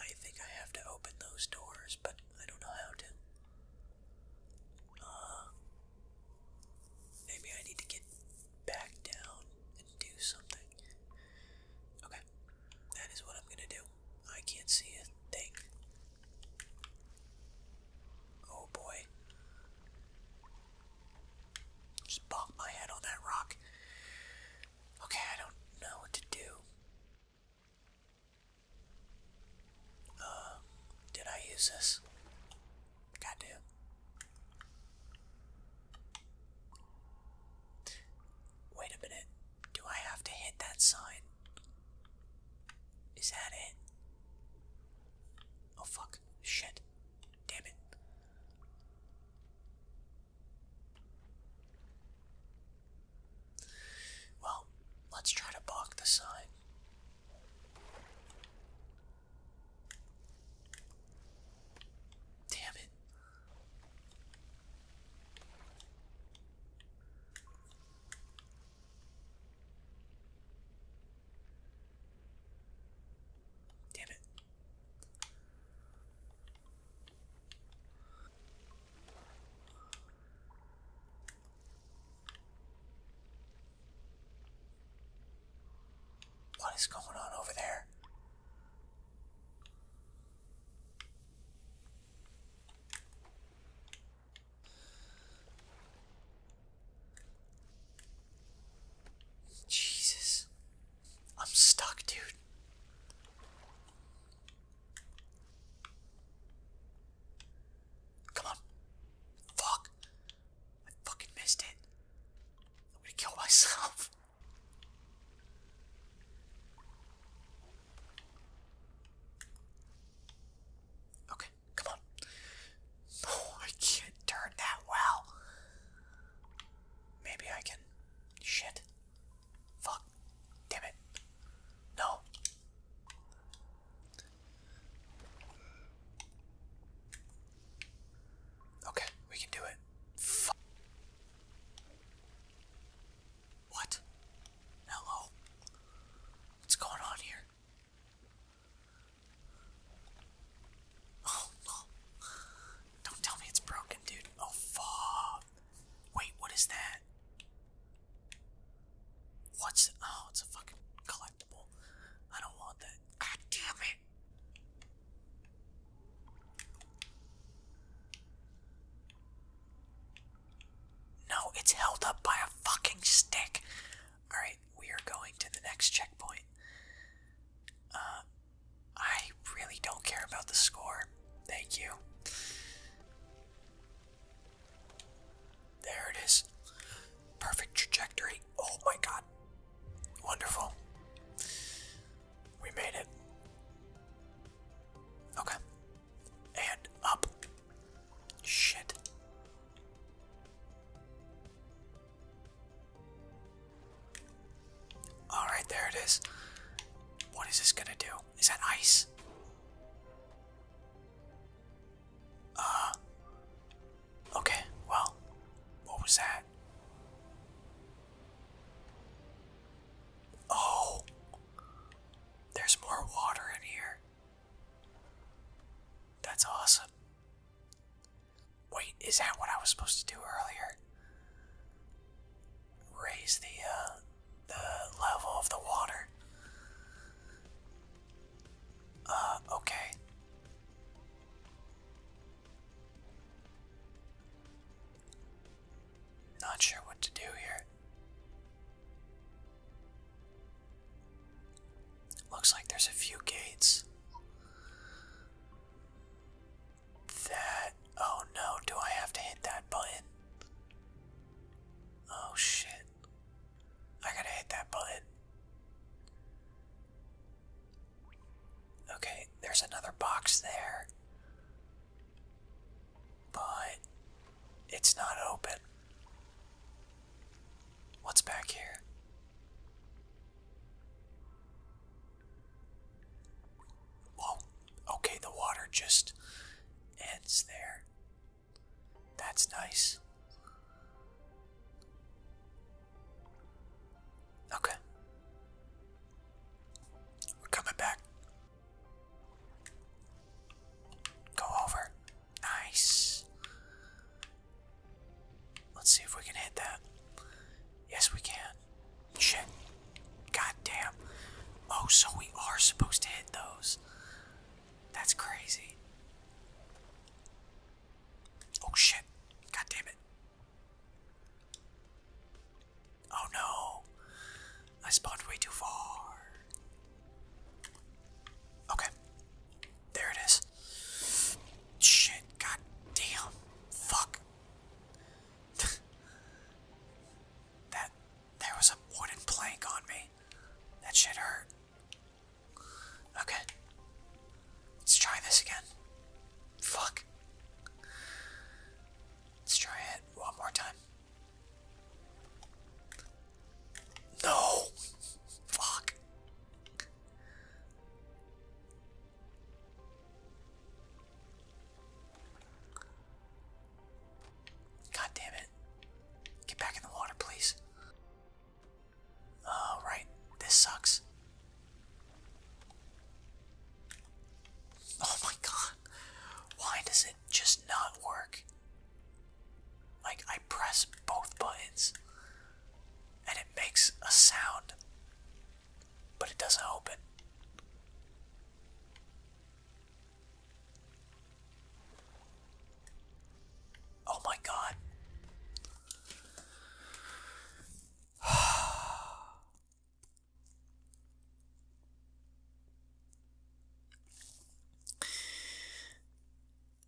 I think I have to open those doors, but I don't know how to. Uh, maybe I need to get back down and do something. Okay, that is what I'm gonna do. I can't see a thing. Oh boy. Just bonked my head on that rock. Okay, I don't know what to do. Uh, did I use this? Goddamn. Wait a minute. Do I have to hit that sign? Is that it? Oh fuck. Shit. Damn it. Well, let's try to balk the sign. Damn it. Damn it. What is going on over there? Jesus. I'm stuck, dude. Come on. Fuck. I fucking missed it. I'm gonna kill myself. Okay, come on. No, oh, I can't turn that well. Maybe I can. Shit. Fuck. Damn it. No. Okay, we can do it. What? Hello? What's going on here? Oh, no. Don't tell me it's broken, dude. Oh, fuck. Wait, what is that? What's. Oh, it's a fucking collectible. I don't want that. God damn it. No, it's held up by a fucking stick. Alright, we are going to the next checkpoint. Uh, I really don't care about the score. Thank you. There it is. Perfect trajectory. Oh my god. Wonderful. We made it. Okay, and up. Shit. Alright, there it is. What is this gonna do? Is that ice? Uh. Okay, well. What was that? Oh. There's more water in here. That's awesome. Wait, is that what I was supposed to do earlier? Raise the uh, the level of the water. Uh, okay. Not sure what to do here. Looks like there's a few gates. That. Oh no, do I have to hit that button? Oh shit. I gotta hit that button. Okay, there's another box there. But it's not open. What's back here? Well, okay, the water just ends there. That's nice. Okay. We're coming back. Go over. Nice. Let's see if we can hit that. Yes, we can. Shit. God damn. Oh, so we are supposed to hit those. That's crazy. Oh shit. God damn it. Oh no. I spawned way too far. Okay. There it is. Shit, god damn. Fuck. that there was a wooden plank on me. That shit hurt. Okay. Let's try this again. Fuck. Let's try it one more time. No! Fuck. God damn it. Get back in the water, please. Oh, right. This sucks. Oh my god. Why does it just not work? Like, I press both buttons and it makes a sound, but it doesn't open. Oh my god.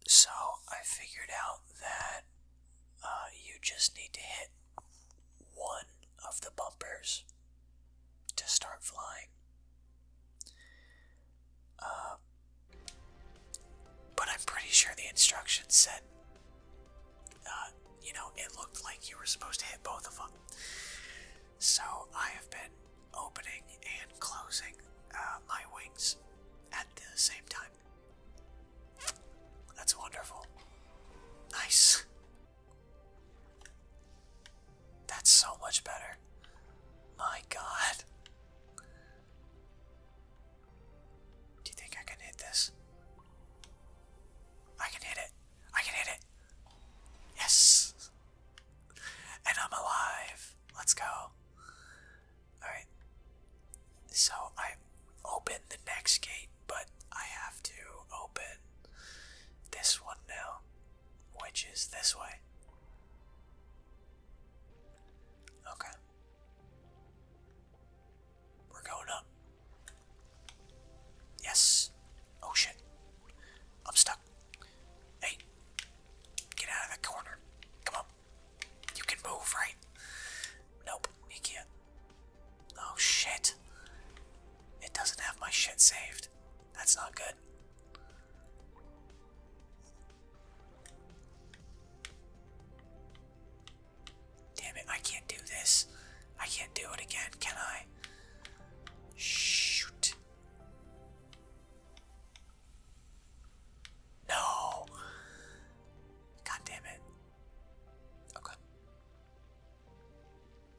So I figured out that uh, you just need to hit one of the bumpers to start flying. Uh, but I'm pretty sure the instructions said, uh, you know, it looked like you were supposed to hit both of them. So I have been opening and closing uh, my wings at the same time. That's wonderful. Nice. That's so much better. My god. Do you think I can hit this? I can hit it. I can hit it. Yes. And I'm alive. Let's go. Alright. So I open the next gate, but I have to open this one now, which is this way. Okay. We're going up. Yes. Oh shit. I'm stuck. Hey, get out of the corner. Come on. You can move, right? Nope, you can't. Oh shit. It doesn't have my shit saved. That's not good. Damn it, I can't do this. I can't do it again, can I? Shoot. No! God damn it. Okay.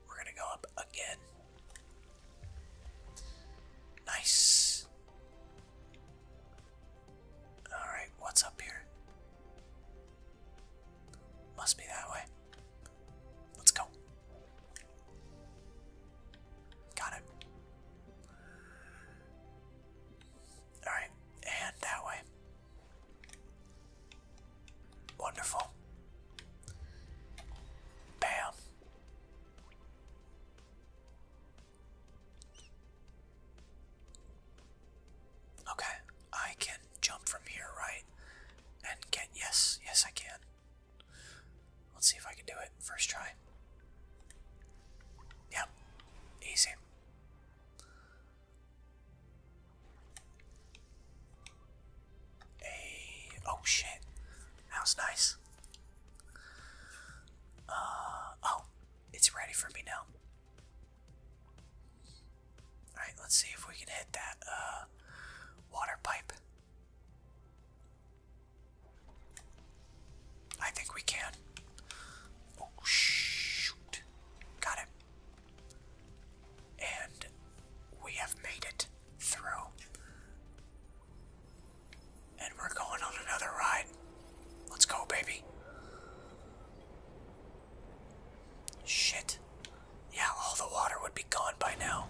We're gonna go up again. Nice. Alright, what's up here? Must be that way. Let's go. Got it. Alright, and that way. Wonderful. Bam. Okay, I can jump from here, right? And get, yes, yes, I can. Let's see if I can do it first try. Yep, easy. Hey, oh shit, that was nice. Uh, oh, it's ready for me now. Alright, let's see if we can hit that, uh, water pipe. I think we can. Oh, shoot. Got it. And we have made it through. And we're going on another ride. Let's go, baby. Shit. Yeah, all the water would be gone by now.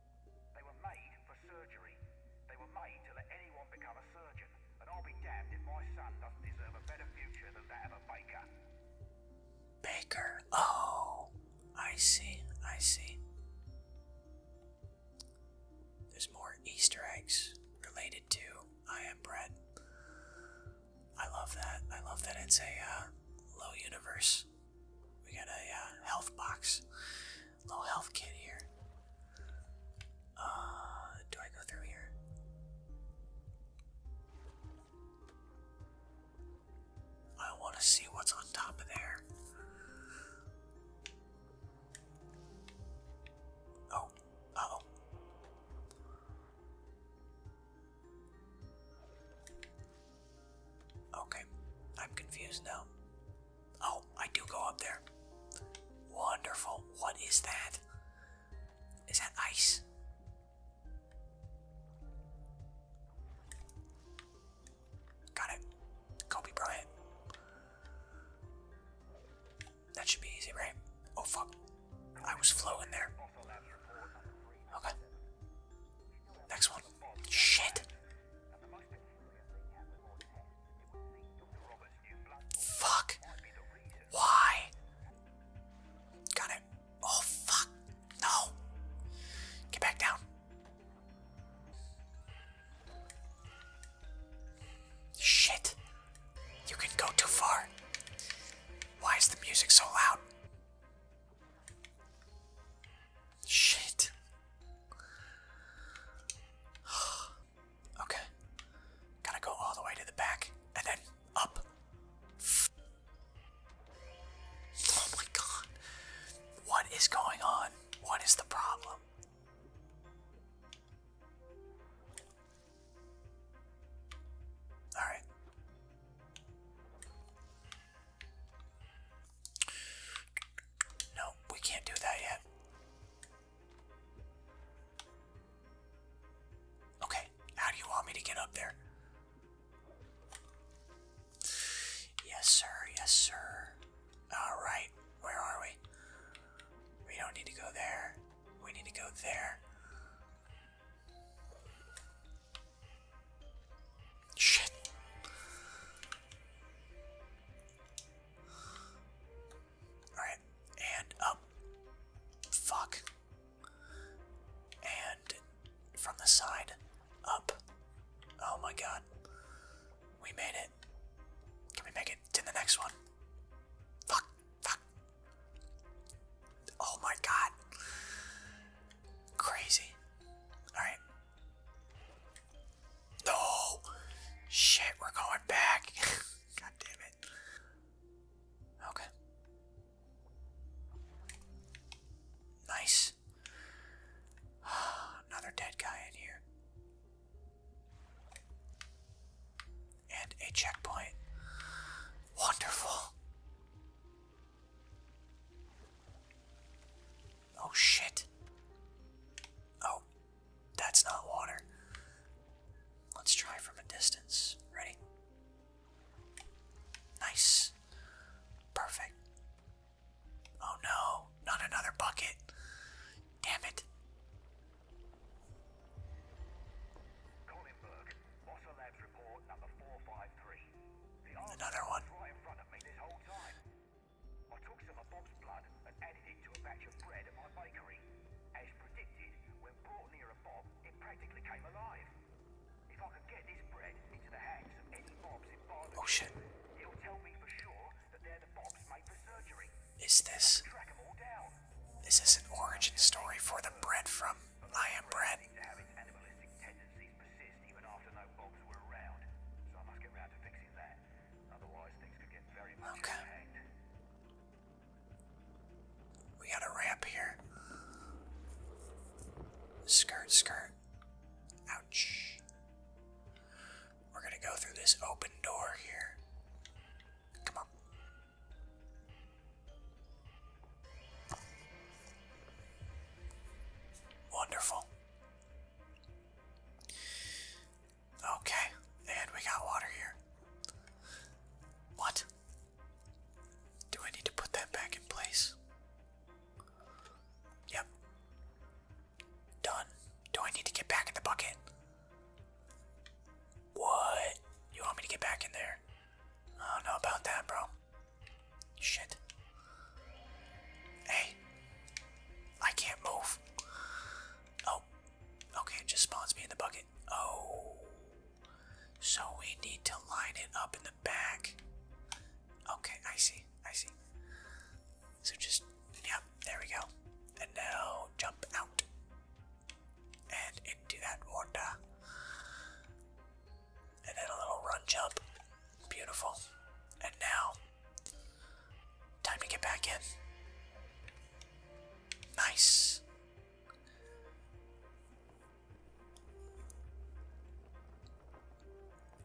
They were made for surgery. They were made to let anyone become a surgeon. And I'll be damned if my son doesn't deserve a better future than that of a baker. Baker. Oh, I see. I see. There's more Easter eggs related to I Am Bread. I love that. I love that it's a uh, low universe. We got a uh, health box Low health kit here. Uh, do I go through here? I want to see what's on top of there. Oh, oh. Okay, I'm confused now. Oh, I do go up there. Wonderful. What is that? Is that ice? Got it. Kobe Bryant. That should be easy, right? Oh fuck. I was flowing there. Okay. Next one. Shit. Fuck. Why? Got it. Oh, fuck. No. Get back down. Shit. You can go too far. Why is the music so loud? Shit. okay. Gotta go all the way to the back and then up. Oh my god. What is going on? What is the problem? Alright. No, we can't do that yet. Okay, how do you want me to get up there? Yes, sir, yes, sir. Alright, where are we? We don't need to go there. We need to go there. Shit. Alright, and up. Um, fuck. And from the side, up. Oh my god. We made it. Can we make it to the next one? Fuck, fuck. Oh my god. Crazy. Alright. No! Shit, we're going back. God damn it. Okay. Nice. Another dead guy in here. And a checkpoint. Wonderful. Oh shit. Oh, that's not water. Let's try from a distance. Ready? Nice. Perfect. Oh no, not another bucket. Damn it. another one. I took some of Bob's blood and added it to a batch of bread at my bakery. As predicted, when brought near a Bob, it practically came alive. If I could get this bread into the hands of any Bobs in Barlow, oh, shit. will tell me for sure that they're the Bobs made for surgery. Is this... Is an origin story for the bread from I Am Bread? Otherwise, things okay. We got a ramp here. Skirt, skirt. Ouch. We're gonna go through this open door here. Come on. Wonderful. Okay, and we got water here. What? Do I need to put that back in place? Yep. Done. Do I need to get back in the bucket? What? You want me to get back in there? I don't know about that, bro. Shit. Hey, I can't move. Oh, okay, it just spawns me in the bucket. Oh, so we need to line it up in the back. Okay, I see, I see. So just, yep, there we go. And now jump out and into that water. And then a little run jump. Beautiful. And now, time to get back in. Nice.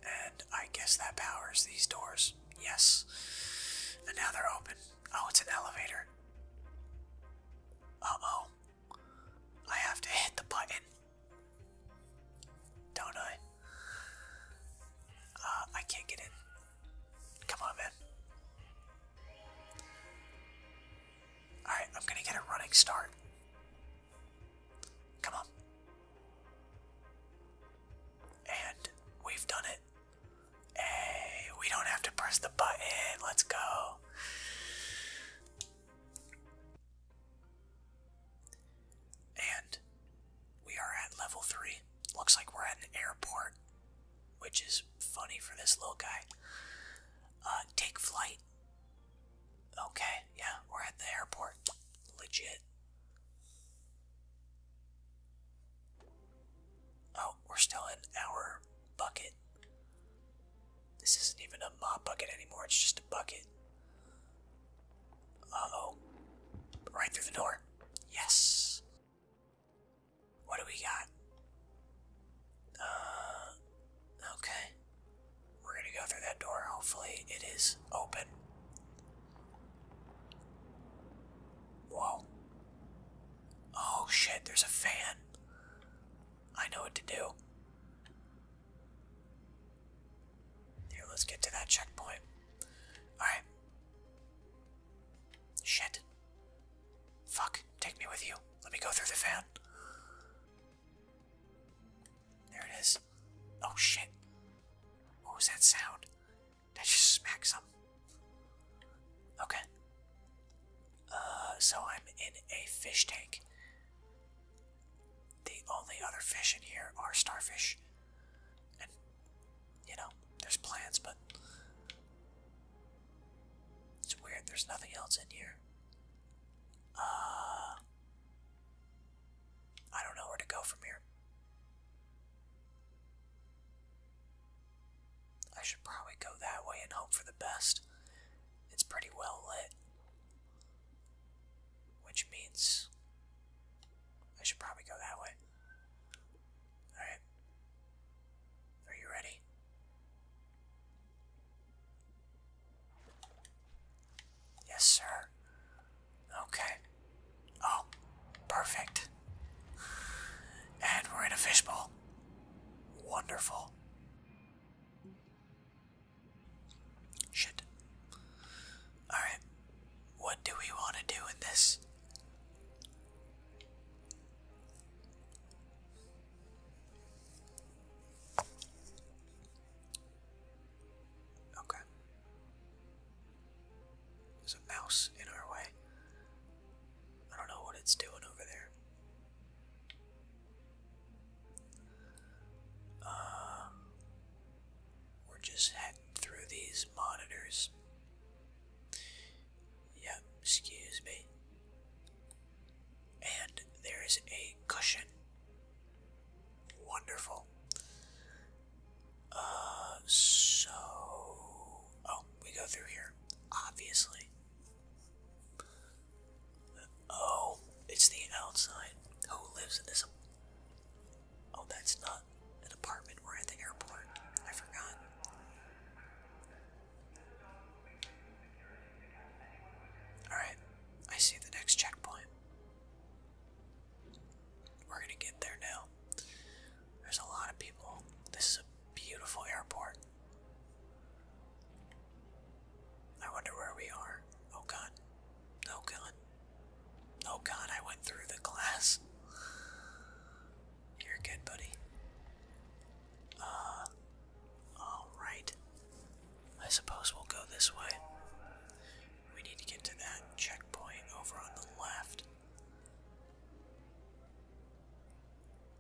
And I guess that powers these doors. Yes. And now they're open. Oh, it's an elevator. Uh oh. I have to hit the button. Don't I? Uh, I can't get in. Come on, man. Alright, I'm gonna get a running start. Come on. And we've done it. Hey, we don't have to press the button. Let's go. And we are at level 3. Looks like we're at an airport, which is funny for this little guy. Uh, take flight. Okay, yeah, we're at the airport. Legit. Oh, we're still in our bucket. This isn't even a mop bucket anymore, it's just a bucket oh Right through the door. Yes. What do we got? Uh, okay. We're gonna go through that door. Hopefully it is open. Whoa. Oh shit, there's a fan. I know what to do. Here, let's get to that checkpoint. Alright, Shit. Fuck. Take me with you. Let me go through the fan. There it is. Oh shit. What was that sound? That I just smack some? Okay. Uh, so I'm in a fish tank. The only other fish in here are starfish you know, there's plants, but it's weird. There's nothing else in here. Uh, I don't know where to go from here. I should probably go that way and hope for the best. It's pretty well lit. Which means I should probably go that way. Alright. Are you ready? Yes, sir. Okay. Oh, perfect. And we're in a fishbowl. Wonderful. Shit. Alright, what do we want to do with this? Okay. There's a mouse in our way. I don't know what it's doing over there. Um, we're just heading through these monitors. Yep, excuse me. And there is a cushion. Wonderful. Uh, so. Oh, we go through here. Obviously. Oh, it's the outside. Who lives in this Oh, that's not an apartment. We're at the airport. I forgot. Alright, I see the next checkpoint. We're gonna get there now. There's a lot of people. This is a beautiful airport. I wonder where we are. Oh god. Oh god. Oh god, I went through the glass. You're good, buddy. Uh, alright. I suppose we'll go this way. We need to get to that checkpoint over on the left.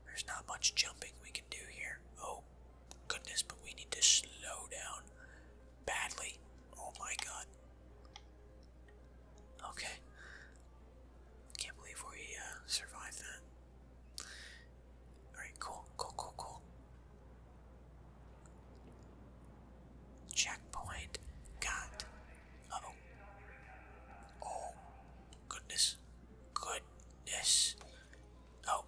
There's not much jumping we can do here. Oh, goodness, but we need to slow down badly. Oh my god. Okay. Can't believe we uh, survived that. Alright, cool, cool, cool, cool. Checkpoint. God. oh. Oh. Goodness. Goodness. Oh.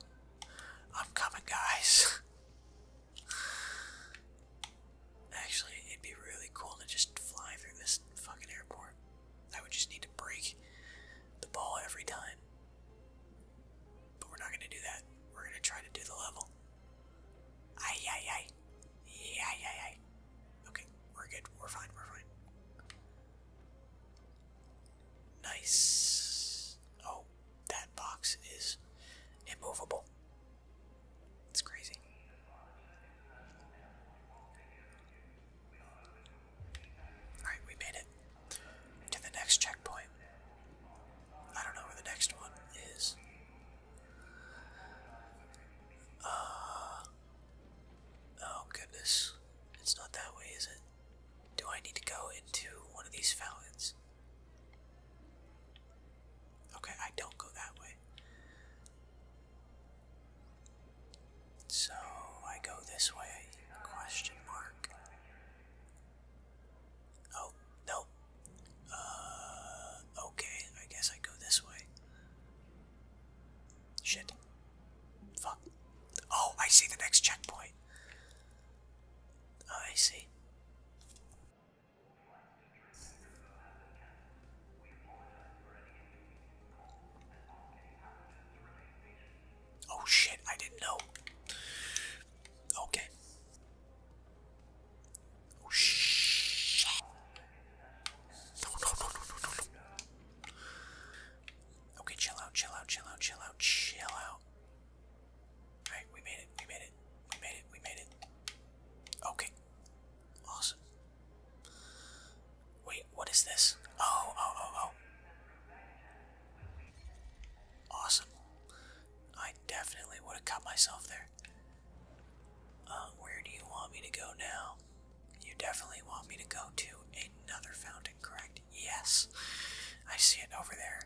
I'm coming, guys. Actually, it'd be really cool to just fly through this fucking airport. I would just need to break the ball every time. But we're not gonna do that. We're gonna try to do the level. Ay, ay, ay. Ay, ay, ay. Okay, we're good. We're fine. We're fine. Nice. Oh, that box is immovable. It's crazy. Alright, we made it to the next checkpoint. I don't know where the next one is. Uh, oh goodness. It's not that way, is it? Do I need to go into one of these fountains? Okay, I don't go that way. So I go this way? Question mark. Oh, nope. Uh, okay, I guess I go this way. Shit. Fuck. Oh, I see the next checkpoint. I see. Oh shit, I didn't know. Okay. Oh shit. No, no, no, no, no, no, Okay, chill out, chill out, chill out, chill out, chill out. Alright, we made it, we made it, we made it, we made it. Okay, Awesome. Wait, what is this? Oh, oh, oh, oh. Awesome. I definitely would have cut myself there. Uh, where do you want me to go now? You definitely want me to go to another fountain, correct? Yes. I see it over there.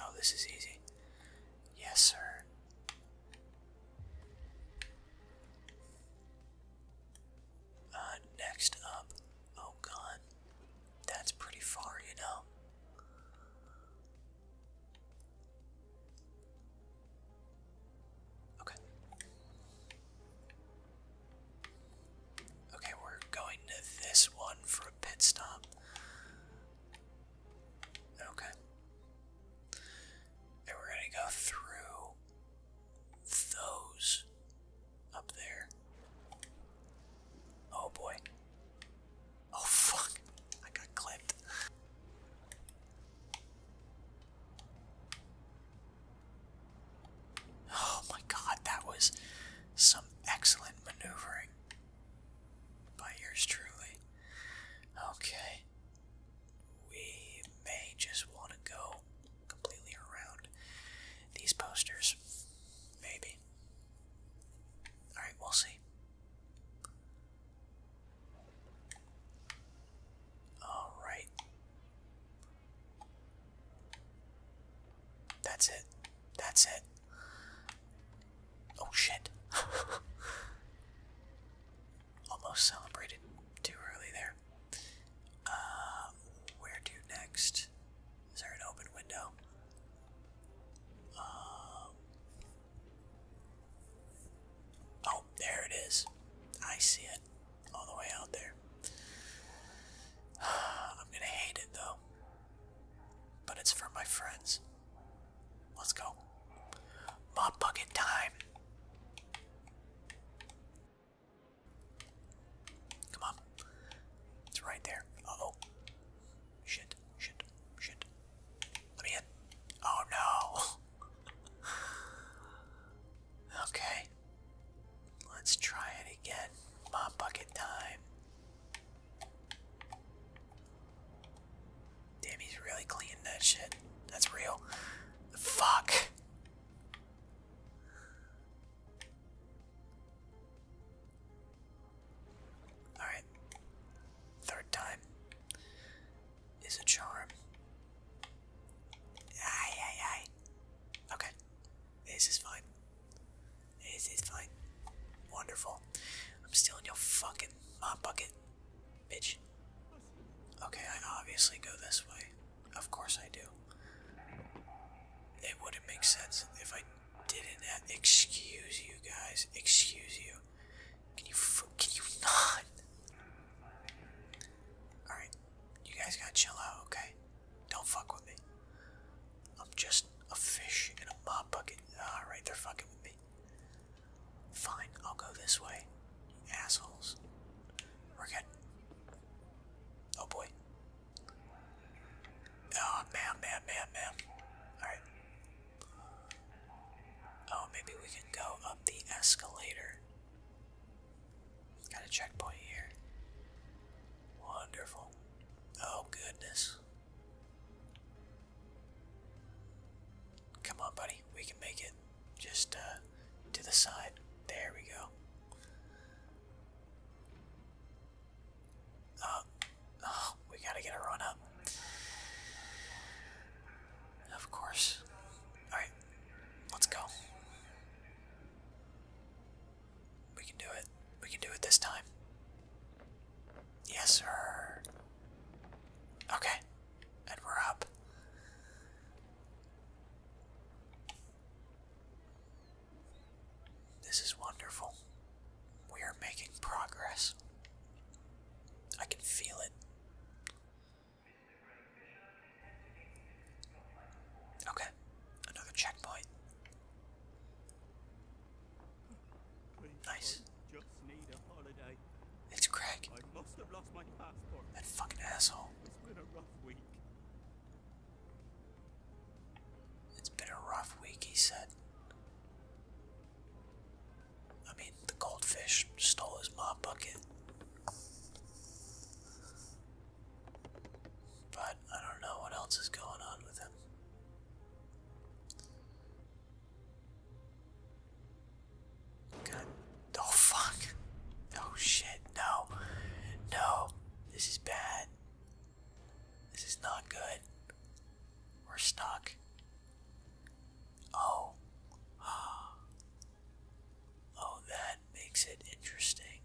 Oh, this is easy. Yes, sir. Uh, next up. Oh, God. That's pretty far, you know. Okay. Okay, we're going to this one for a pit stop. Okay. And we're going to go through those up there. Oh boy. Oh fuck. I got clipped. Oh my god, that was some excellent maneuvering by yours truly. Okay. We may just want to go completely around these posters. Maybe. Alright, we'll see. Alright. That's it. That's it. Oh shit. Almost celebrated too early there. Uh, where to next? Is there an open window? Um, oh, there it is. I see it all the way out there. I'm gonna hate it though. But it's for my friends. Let's go. Mop bucket time. Come on. It's right there. oh. Shit, shit, shit. Let me in. Oh no. okay. Let's try it again. Mop bucket time. Damn, he's really cleaned that shit. That's real. Fuck. Alright. Third time is a charm. Aye, aye, aye. Okay. This is fine. It's, fine. Wonderful. I'm stealing your fucking mop bucket, bitch. Okay, I obviously go this way. Of course I do. It wouldn't make sense if I didn't. Excuse you guys. Excuse you. Can you can you not? All right, you guys gotta chill out, okay? Don't fuck with me. I'm just a fish in a mop bucket. Alright, they're fucking with me. Fine, I'll go this way. assholes. We're good. Oh boy. Oh, man, man, man, man. Alright. Oh, maybe we can go up the escalator. Got a checkpoint here. Wonderful. Oh, goodness. Come on, buddy. We can make it. Just uh, to the side. There we go. Oh, oh, we gotta get a run up. Of course. Alright, let's go. We can do it. We can do it this time. Yes, sir. Okay. And we're up. This is wonderful. We are making progress. I can feel it. Okay, another checkpoint. Nice. It's Craig. I must have lost my passport. That fucking asshole. It's been a rough week. It's been a rough week, he said. I mean, the goldfish stole his mop bucket. But I don't know what else is going on with him. God. Oh, fuck. Oh, shit. No. No. This is bad. This is not good. We're stuck. Oh. Oh, that makes it interesting,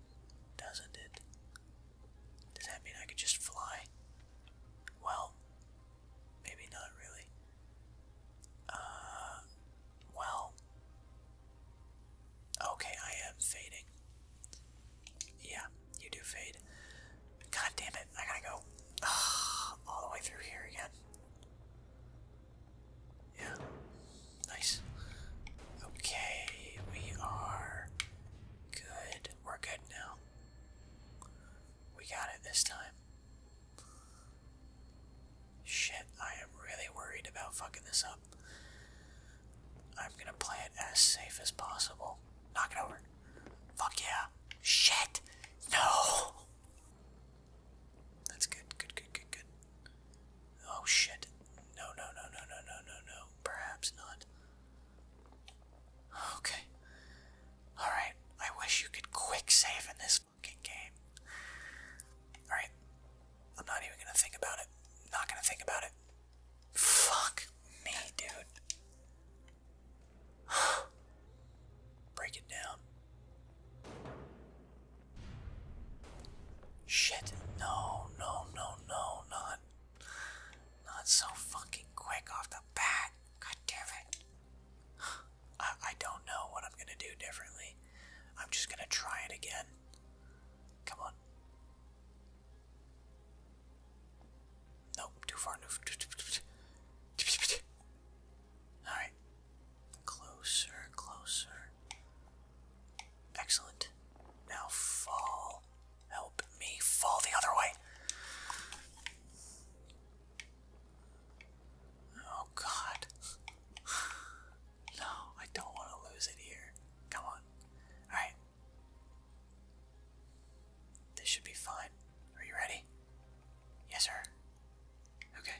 doesn't it? Does that mean I could just fly? Well, maybe not really. Uh, well. Okay, I am fading. Yeah, you do fade. God damn it, I gotta go all the way through here again. Yeah, nice. Okay, we are good. We're good now. We got it this time. Shit, I am really worried about fucking this up. I'm gonna play it as safe as possible. Knock it over. Fuck yeah. Shit! No! That's good, good, good, good, good. Oh shit. No, no, no, no, no, no, no, Perhaps not. Okay. Alright, I wish you could quick save in this fucking game. Alright, I'm not even gonna think about it. Not gonna think about it. Fuck me, dude. Break it down. Shit, no, no, no, no, not. Not so fucking quick off the bat. God damn it. I, I don't know what I'm gonna do differently. I'm just gonna try it again. Come on. Nope, too far. Alright. Closer, closer. Excellent. Now fall. Help me fall the other way. Oh god. No, I don't want to lose it here. Come on. Alright. This should be fine. Are you ready? Yes, sir. Okay.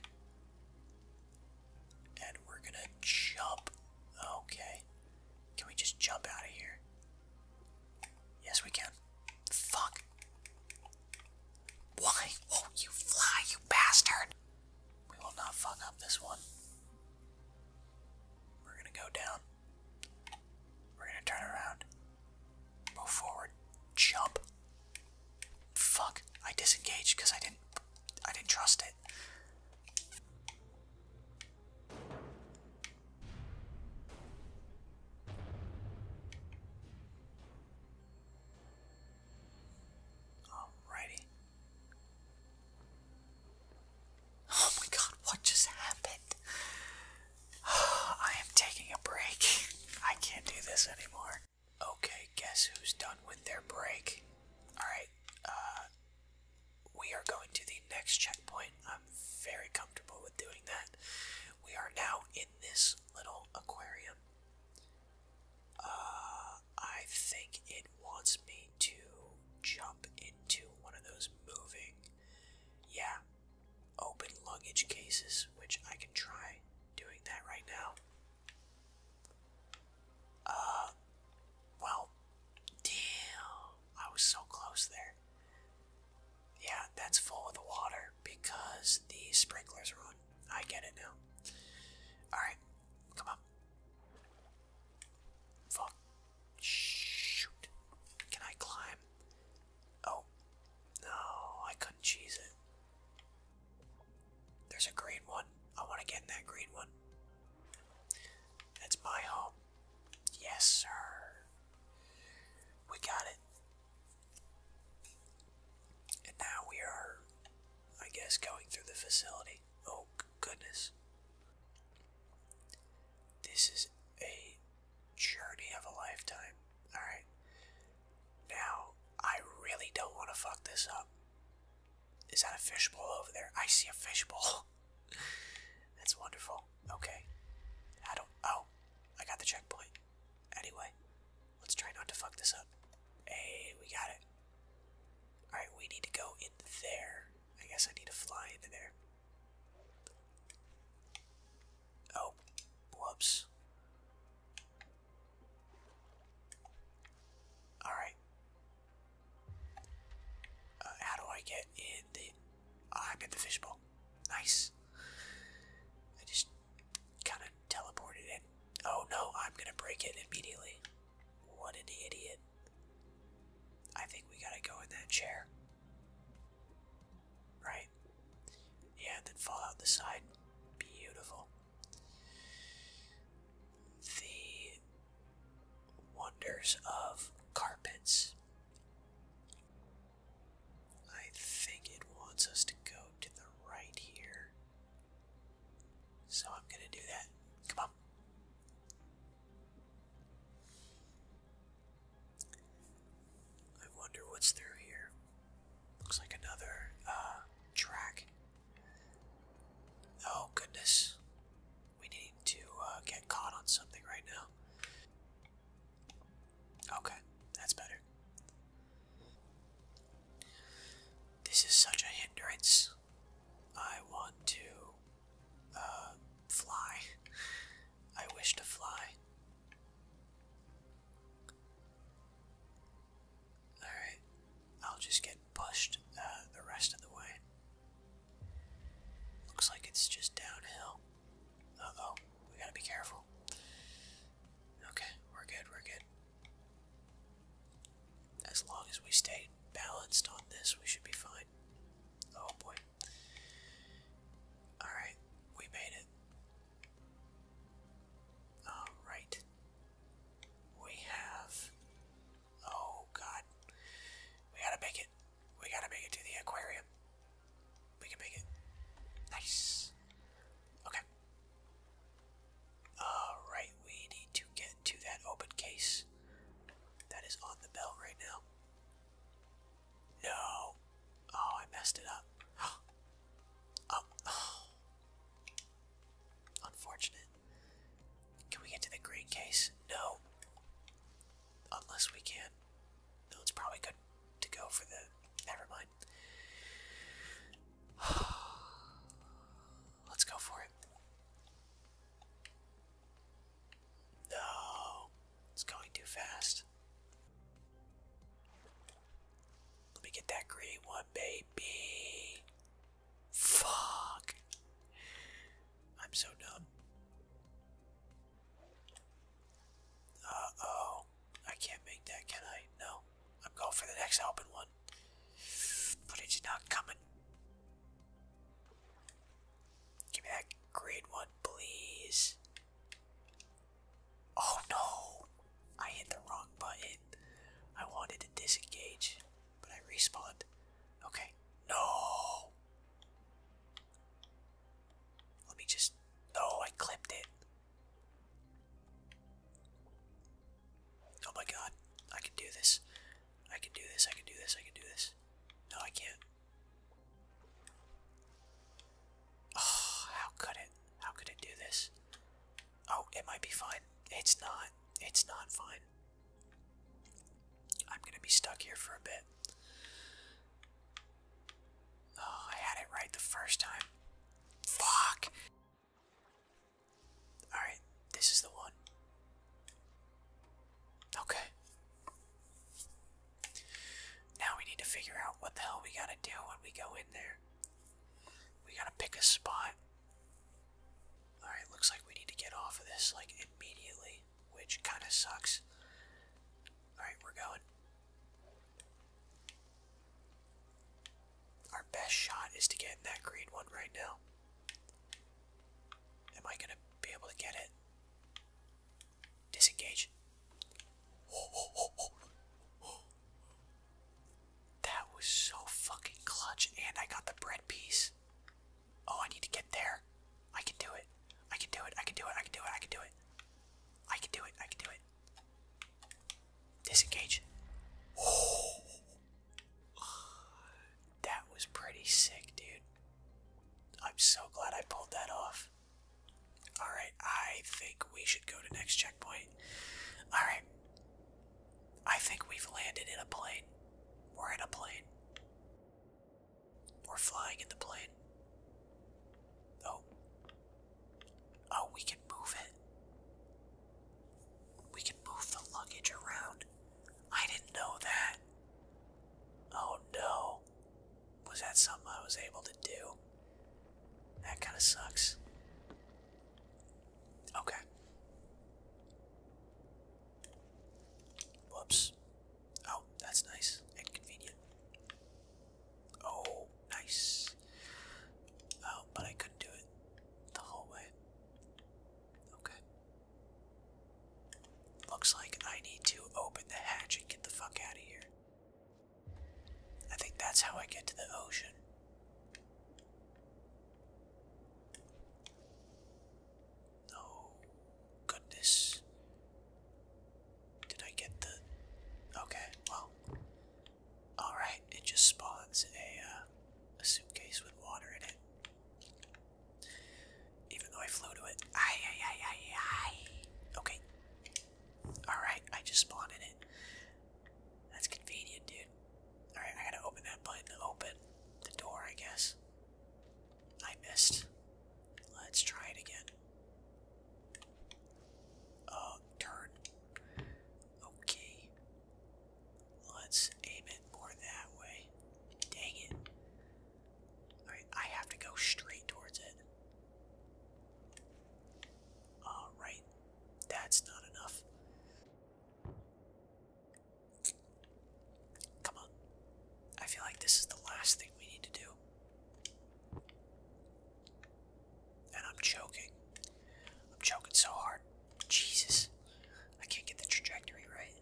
And we're gonna jump. Okay. Can we just jump out of here? Yes, we can. Fuck. Why Oh, you fly, you bastard? We will not fuck up this one. We're gonna go down. We're gonna turn around. Move forward. Jump. Fuck. I disengaged because I didn't I didn't trust it. Alrighty. Oh my god, what just happened? I am taking a break. I can't do this anymore. Okay, guess who's done with their break? Alright, uh, we are going to the next checkpoint. I'm very comfortable with doing that. We are now in this little aquarium. Uh, I think it wants me to jump into one of those moving, yeah, open luggage cases, which I can try doing that right now. Uh, well, damn, I was so close there. Yeah, that's full of the water because the sprinklers are on. I get it now. Alright, come on. Fuck. Shoot. Can I climb? Oh. No, I couldn't cheese There's a green one. I want to get in that green one. That's my home. Yes, sir. We got it. And now we are, I guess, going through the facility. Oh, goodness. This is a journey of a lifetime. Alright. Now, I really don't want to fuck this up. Is that a fishbowl over there? I see a fishbowl. That's wonderful okay. I don't. Oh, I got the checkpoint. Anyway, let's try not to fuck this up. Hey, we got it. Alright, we need to go in there. I guess I need to fly in there. Oh, whoops. Alright. Uh, how do I get in the. Oh, I'm the fishbowl. Nice. I just kind of teleported in. Oh no, I'm gonna break it immediately. What an idiot. I think we gotta go in that chair. Right? Yeah, and then fall out the side. Beautiful. The wonders of carpets. I think it wants us to go to the right here. So I'm going to do that. Come on. I wonder what's through here. Looks like another uh, track. Oh, goodness. We need to uh, get caught on something right now. Okay, that's better. This is such a hindrance. I want to uh, fly. I wish to fly. Alright, I'll just get pushed uh, the rest of the way. Looks like it's just downhill. oh we gotta be careful. Okay, we're good, we're good. As long as we stay balanced on this, we should be fine. Oh boy. Alright, we made it. Alright. We have. Oh god. We gotta make it. We gotta make it to the aquarium. We can make it. Nice. Okay. Alright, we need to get to that open case that is on the belt right now. No. Oh, I messed it up. oh. Unfortunate. Can we get to the green case? No. Unless we can no, it's probably good to go for the. Never mind. Let's go for it. No, it's going too fast. Let me get that green one, baby. Fuck. I'm so dumb. Uh oh. I can't make that, can I? No. I'm going for the next open one. But it's not coming. Give me that green one, please. Oh no! I hit the wrong button. I wanted to disengage, but I respawned. Okay. No! Let me just. Oh, I clipped it. Oh my god. I can do this. I can do this. I can do this. I can do this. No, I can't. Oh, how could it? How could it do this? Oh, it might be fine. It's not. It's not fine. I'm gonna be stuck here for a bit. Oh, I had it right the first time. Fuck! Alright, this is the one. Okay. Now we need to figure out what the hell we gotta do when we go in there. We gotta pick a spot. Alright, looks like we need to get off of this, like, immediately, which kinda sucks. Alright, we're going. Our best shot is to get in that green one right now. Am I going to be able to get it? Disengage. That was so fucking clutch. And I got the bread piece. Oh, I need to get there. I can do it. I can do it. I can do it. I can do it. I can do it. I can do it. I can do it. Disengage. That was pretty sick, dude. I'm so glad I pulled that off. Alright, I think we should go to next checkpoint. Alright. I think we've landed in a plane. We're in a plane. We're flying in the plane. Oh, Oh, we can move it. We can move the luggage around. I didn't know that. Oh no. Was that something I was able to do? That kind of sucks. Okay. Whoops. Oh, that's nice and convenient. Oh, nice. Oh, but I couldn't do it the whole way. Okay. Looks like I need to open the hatch and get the fuck out of here. I think that's how I get to the ocean. Oh, goodness. Did I get the. Okay, well. Alright, it just spawns a, uh, a suitcase with water in it. Even though I flew to it. Aye, aye, aye, aye, aye. Okay. Alright, I just spawned in it. That's convenient, dude. Alright, I gotta open that button to open the door, I guess. I missed. Let's try it again. Uh, turn. Okay. Let's aim it more that way. Dang it. Alright, I have to go straight towards it. Alright. That's not enough. Come on. I feel like this is the last thing we need to do. And I'm choking. I'm choking so hard. Jesus. I can't get the trajectory right.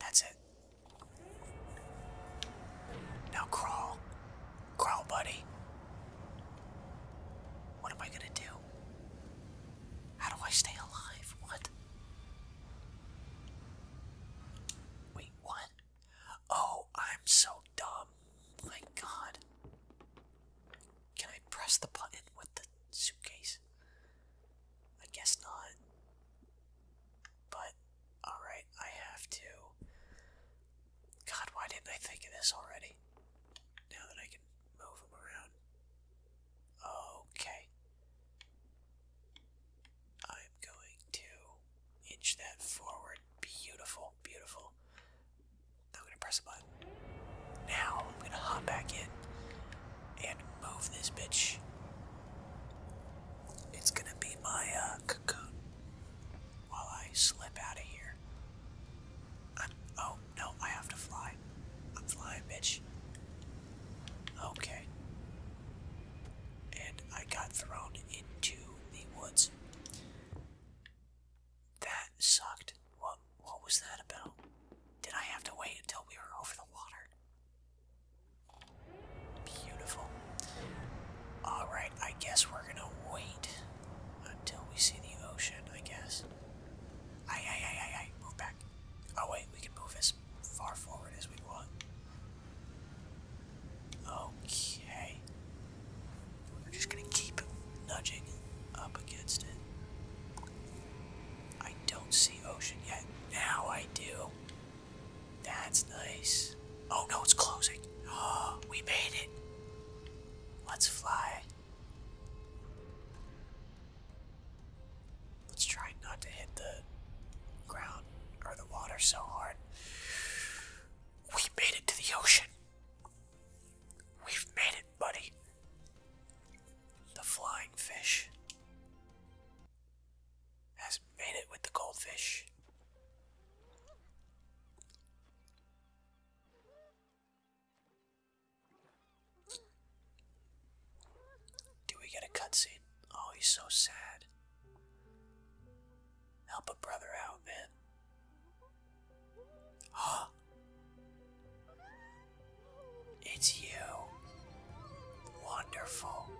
That's it. Now crawl. Crawl, buddy. What am I gonna do? How do I stay alive? What? Wait, what? Oh, I'm so dumb. My god. Can I press the button with the suitcase? I guess not. But, alright, I have to. God, why didn't I think of this already? Now that I can move them around. Okay. I'm going to inch that forward. Beautiful, beautiful. Now I'm going to press a button. Now I'm going to hop back in and move this bitch. It's going to be my uh, cocoon while I slip out of here. oh, no, I have to fly. I'm flying, bitch. Okay. And I got thrown into the woods. That sucked. What what was that about? Did I have to wait until we were over the water? Beautiful. Alright, I guess we're gonna wait until we see the ocean, I guess. Aye, aye, aye, aye, aye. Move back. Oh, wait, we can move as far forward as we want. Okay. We're just gonna keep nudging up against it. I don't see ocean yet. Now I do. That's nice. Oh no, it's closing. Oh, we made it. Let's fly. Let's try not to hit the ground ground the waters so hard. We made it to the ocean. We've made it, buddy. The flying fish has made it with the goldfish. Do we get a cutscene? Oh, he's so sad. Help a brother out, man. Huh? It's you. Wonderful.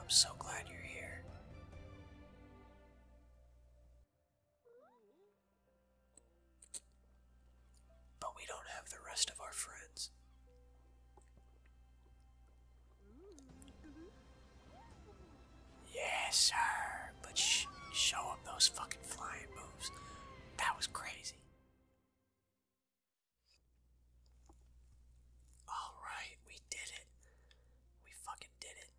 I'm so glad you're here. But we don't have the rest of our friends. Yes, sir. But show him those fucking flying moves. That was crazy. Alright, we did it. We fucking did it.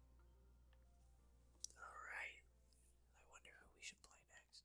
Alright. I wonder who we should play next.